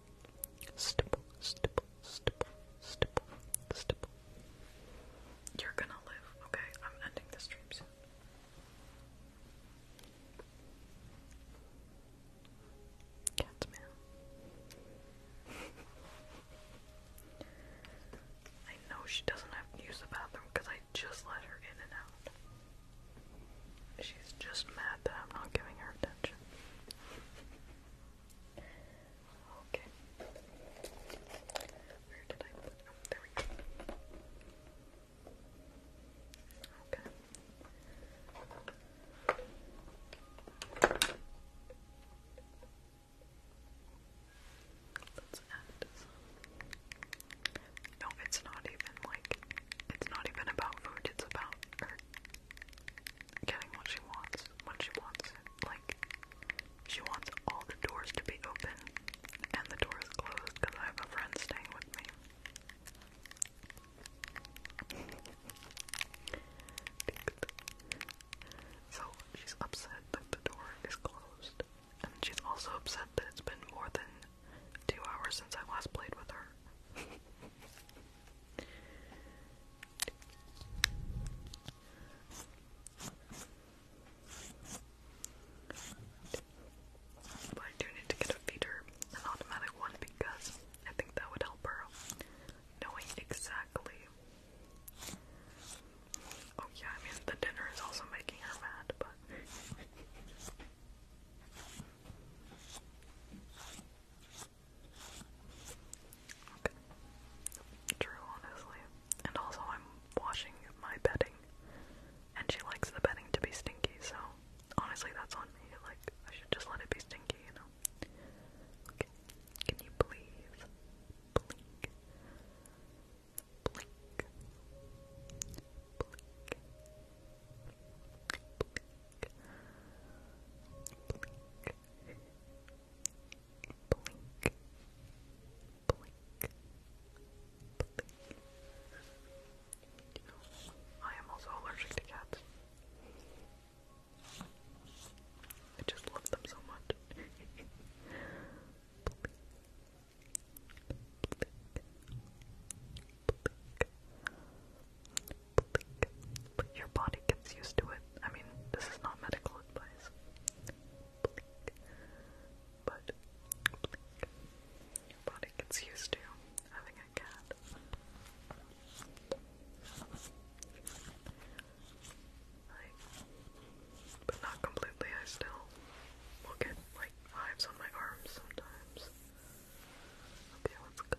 stipple, stipple, stipple, stipple, stipple. You're gonna live, okay? I'm ending the stream soon. Cat's I know she doesn't have to use the bathroom because I just let her in and out. She's just mad that I'm not giving her attention much. Okay. Where did I put? Oh, there we go. Okay. Let's add some. No, it's not even like it's not even about food. It's about or getting what she wants when she wants it. Like, she wants all the doors to be open and the door is closed because I have a friend staying with me. so she's upset that the door is closed, and she's also upset that it's been more than two hours since I last played with her. But I do need to get a feeder, an automatic one, because I think that would help her knowing exactly. Oh yeah, I mean the dinner is also making her mad, but Okay. True, honestly. And also, I'm washing my bedding, and she likes the bedding to be stinky, so honestly, that's on me. Like, I should just let it be stinky, you know? Okay. Can you please blink? Blink. Blink. Blink blink, blink, blink. You I am also allergic to cats. I just love them so much. blink, blink, blink, but your body gets used to it. I mean, this is not medical advice. But Your body gets used to having a cat. but not completely. I still will get like hives on my arms sometimes. Okay, let's go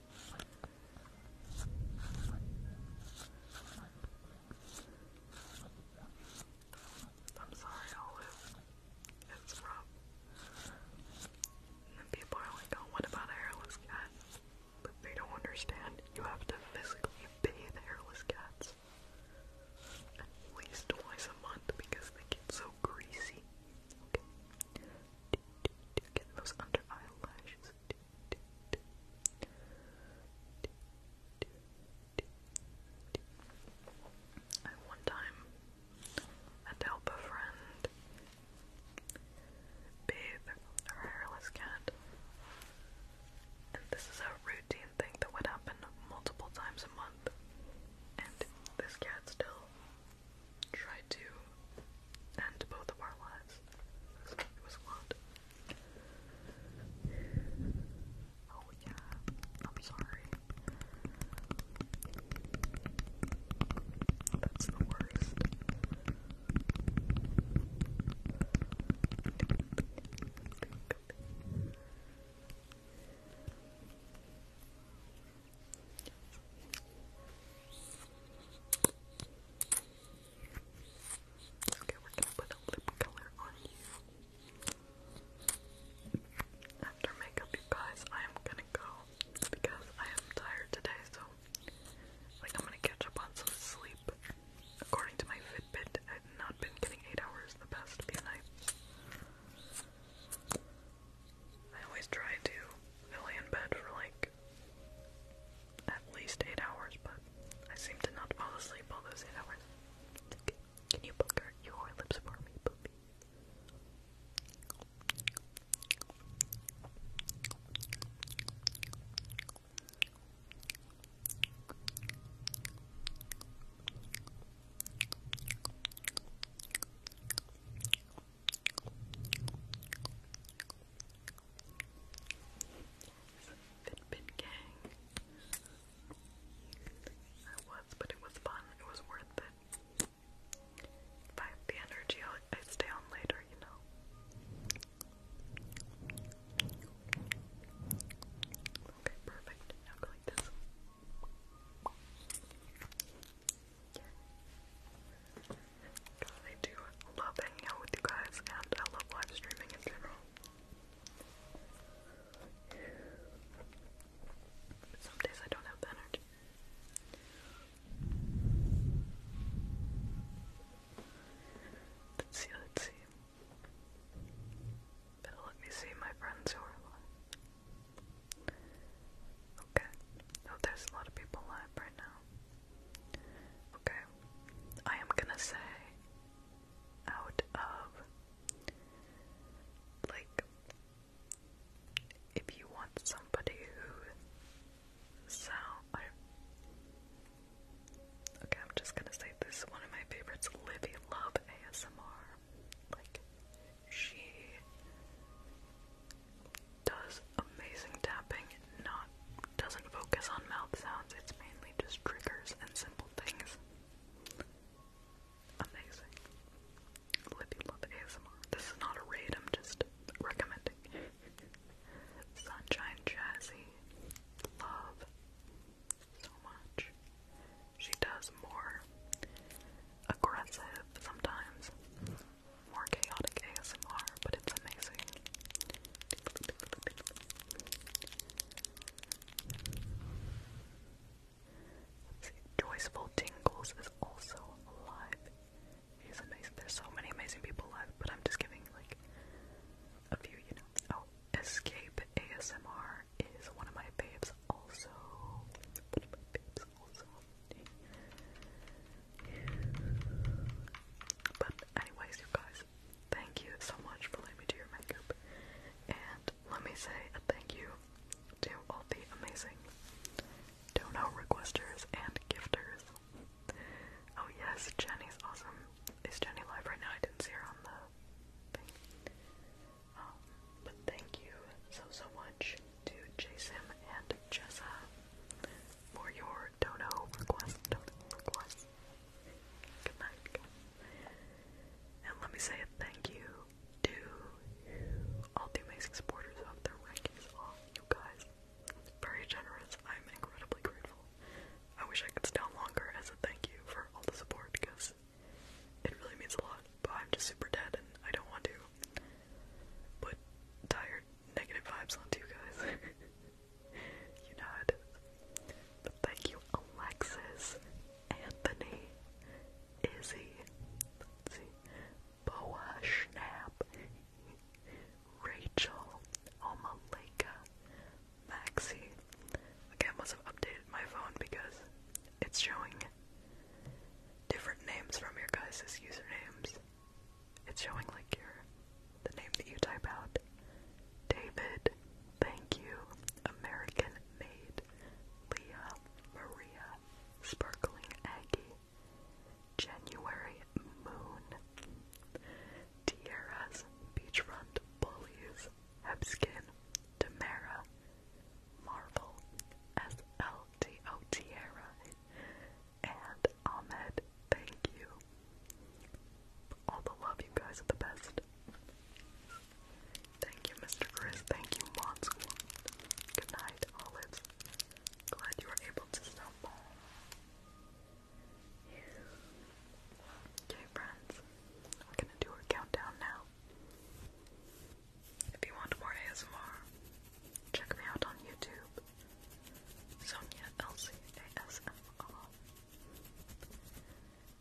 I'm sorry, Olive. It's rough. And people are like, oh, what about hairless cat? But they don't understand. You have to physically bathe hairless cats at least twice a month because they get so greasy. Get those under eyelashes. At one time, I had to help a friend bathe her hairless cat. And this is a routine thing that would happen multiple times a month. And this cat still tried to and both of our lives. was a Oh yeah, I'm sorry. That's the worst. Okay, we're gonna put a lip color on you. After makeup, you guys, I am gonna go because I am tired today, so like I'm gonna catch up on some sleep. According to my Fitbit, I've not been getting eight hours the past few nights. I always try to fill in bed for like at least eight hours, but I seem to not fall asleep all those eight hours. Can you pucker your lips for me, Poopy? Fitbit gang. I was, but it was fun. It was worth it. If I have the energy, I stay on later, you know. Okay, perfect. Now go like this. Yeah. I do love hanging out with you guys, and I love live streaming in general. some days I don't have the energy. Let's see, let's see. let me see my friends who are alive. Okay. Oh, there's a lot of people live right now. Okay, I am gonna say out of like if you want somebody who sound Okay, I'm just gonna say this is one of my favorites, Livy Love ASMR. Like she does amazing tapping. Not doesn't focus on mouth sounds. It's mainly just triggers and simple things. Amazing. Libby love ASMR. This is not a raid. I'm just recommending. Sunshine Jazzy, love so much. She does more aggressive sometimes, more chaotic ASMR, but it's amazing. Joyful Tingles is also live. There's so many amazing people live, but I'm just giving like a few, you know. Oh, Escape ASMR is one of my babes. also. also. But anyways, you guys, Thank you so much for letting me do your makeup. And let me say a thank you to all the amazing dono requesters and gifters. Oh yes, Jenny's awesome. Is Jenny live right now? I didn't see her on the um, but thank you so so much to Jason and Jessa for your dono request, request. Good And let me say a thank you to all the amazing supporters of their rankings. All you guys, very generous. I'm incredibly grateful. I wish I could stay longer as a thank you for all the support because it really means a lot. But I'm just super dead and I don't want to put tired negative vibes onto you guys. you know it is. thank you, Alexis, Anthony, Izzy, Boa Schnapp, Rachel, Omalika, Maxie. Okay, I must have updated my phone because it's showing different names from your guys' usernames. It's showing like your the name that you type out. David, thank you. American made. Leah, Maria, Sparkling Aggie, January Moon, Tierras, Beachfront Bullies, Hebskin, Tamara, Marvel, SLTO Tierra, and Ahmed, thank you. All the love, you guys are the best. Thank you, Mr. Chris. Thank you, Monscool. Good night, Olives. Glad you were able to stop by. Okay, friends. We're gonna do our countdown now. If you want more ASMR, check me out on YouTube. Sonia Elsie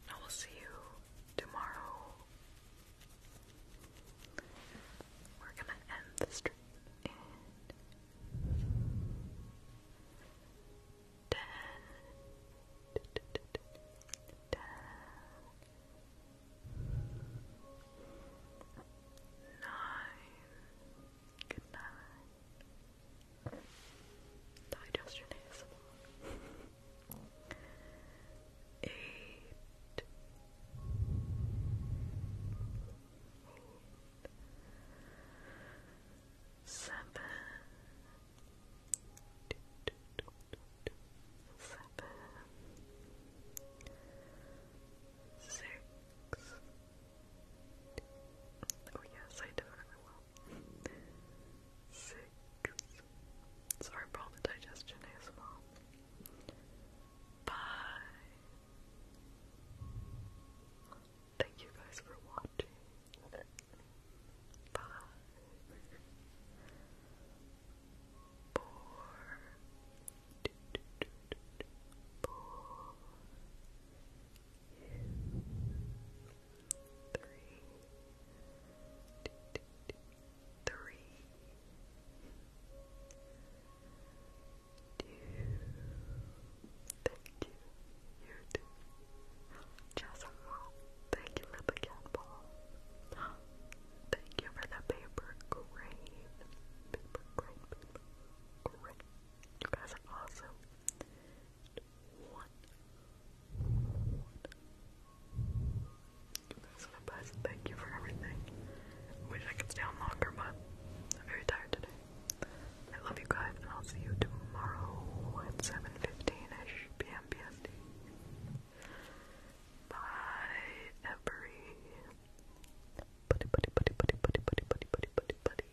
I will see you tomorrow. We're gonna end the stream in Good night. Digestion ASMR. Eight. Oh yes, I definitely will. Six. Sorry for the digestion as well. Bye. Thank you guys for watching. Bye. Four. Two, two, two. Four three, three, two. Thank you, you too. Jasmine, thank you for the cat ball. Thank you for the paper crane. Paper crane, paper You guys are awesome one. You guys are the best. Thank you for everything. Wish I could stay on longer, but I'm very tired today. I love you guys, and I'll see you tomorrow at 7.15ish p.m. PST. Bye, every buddy, buddy, buddy, buddy, buddy, buddy, buddy, buddy, buddy, buddy.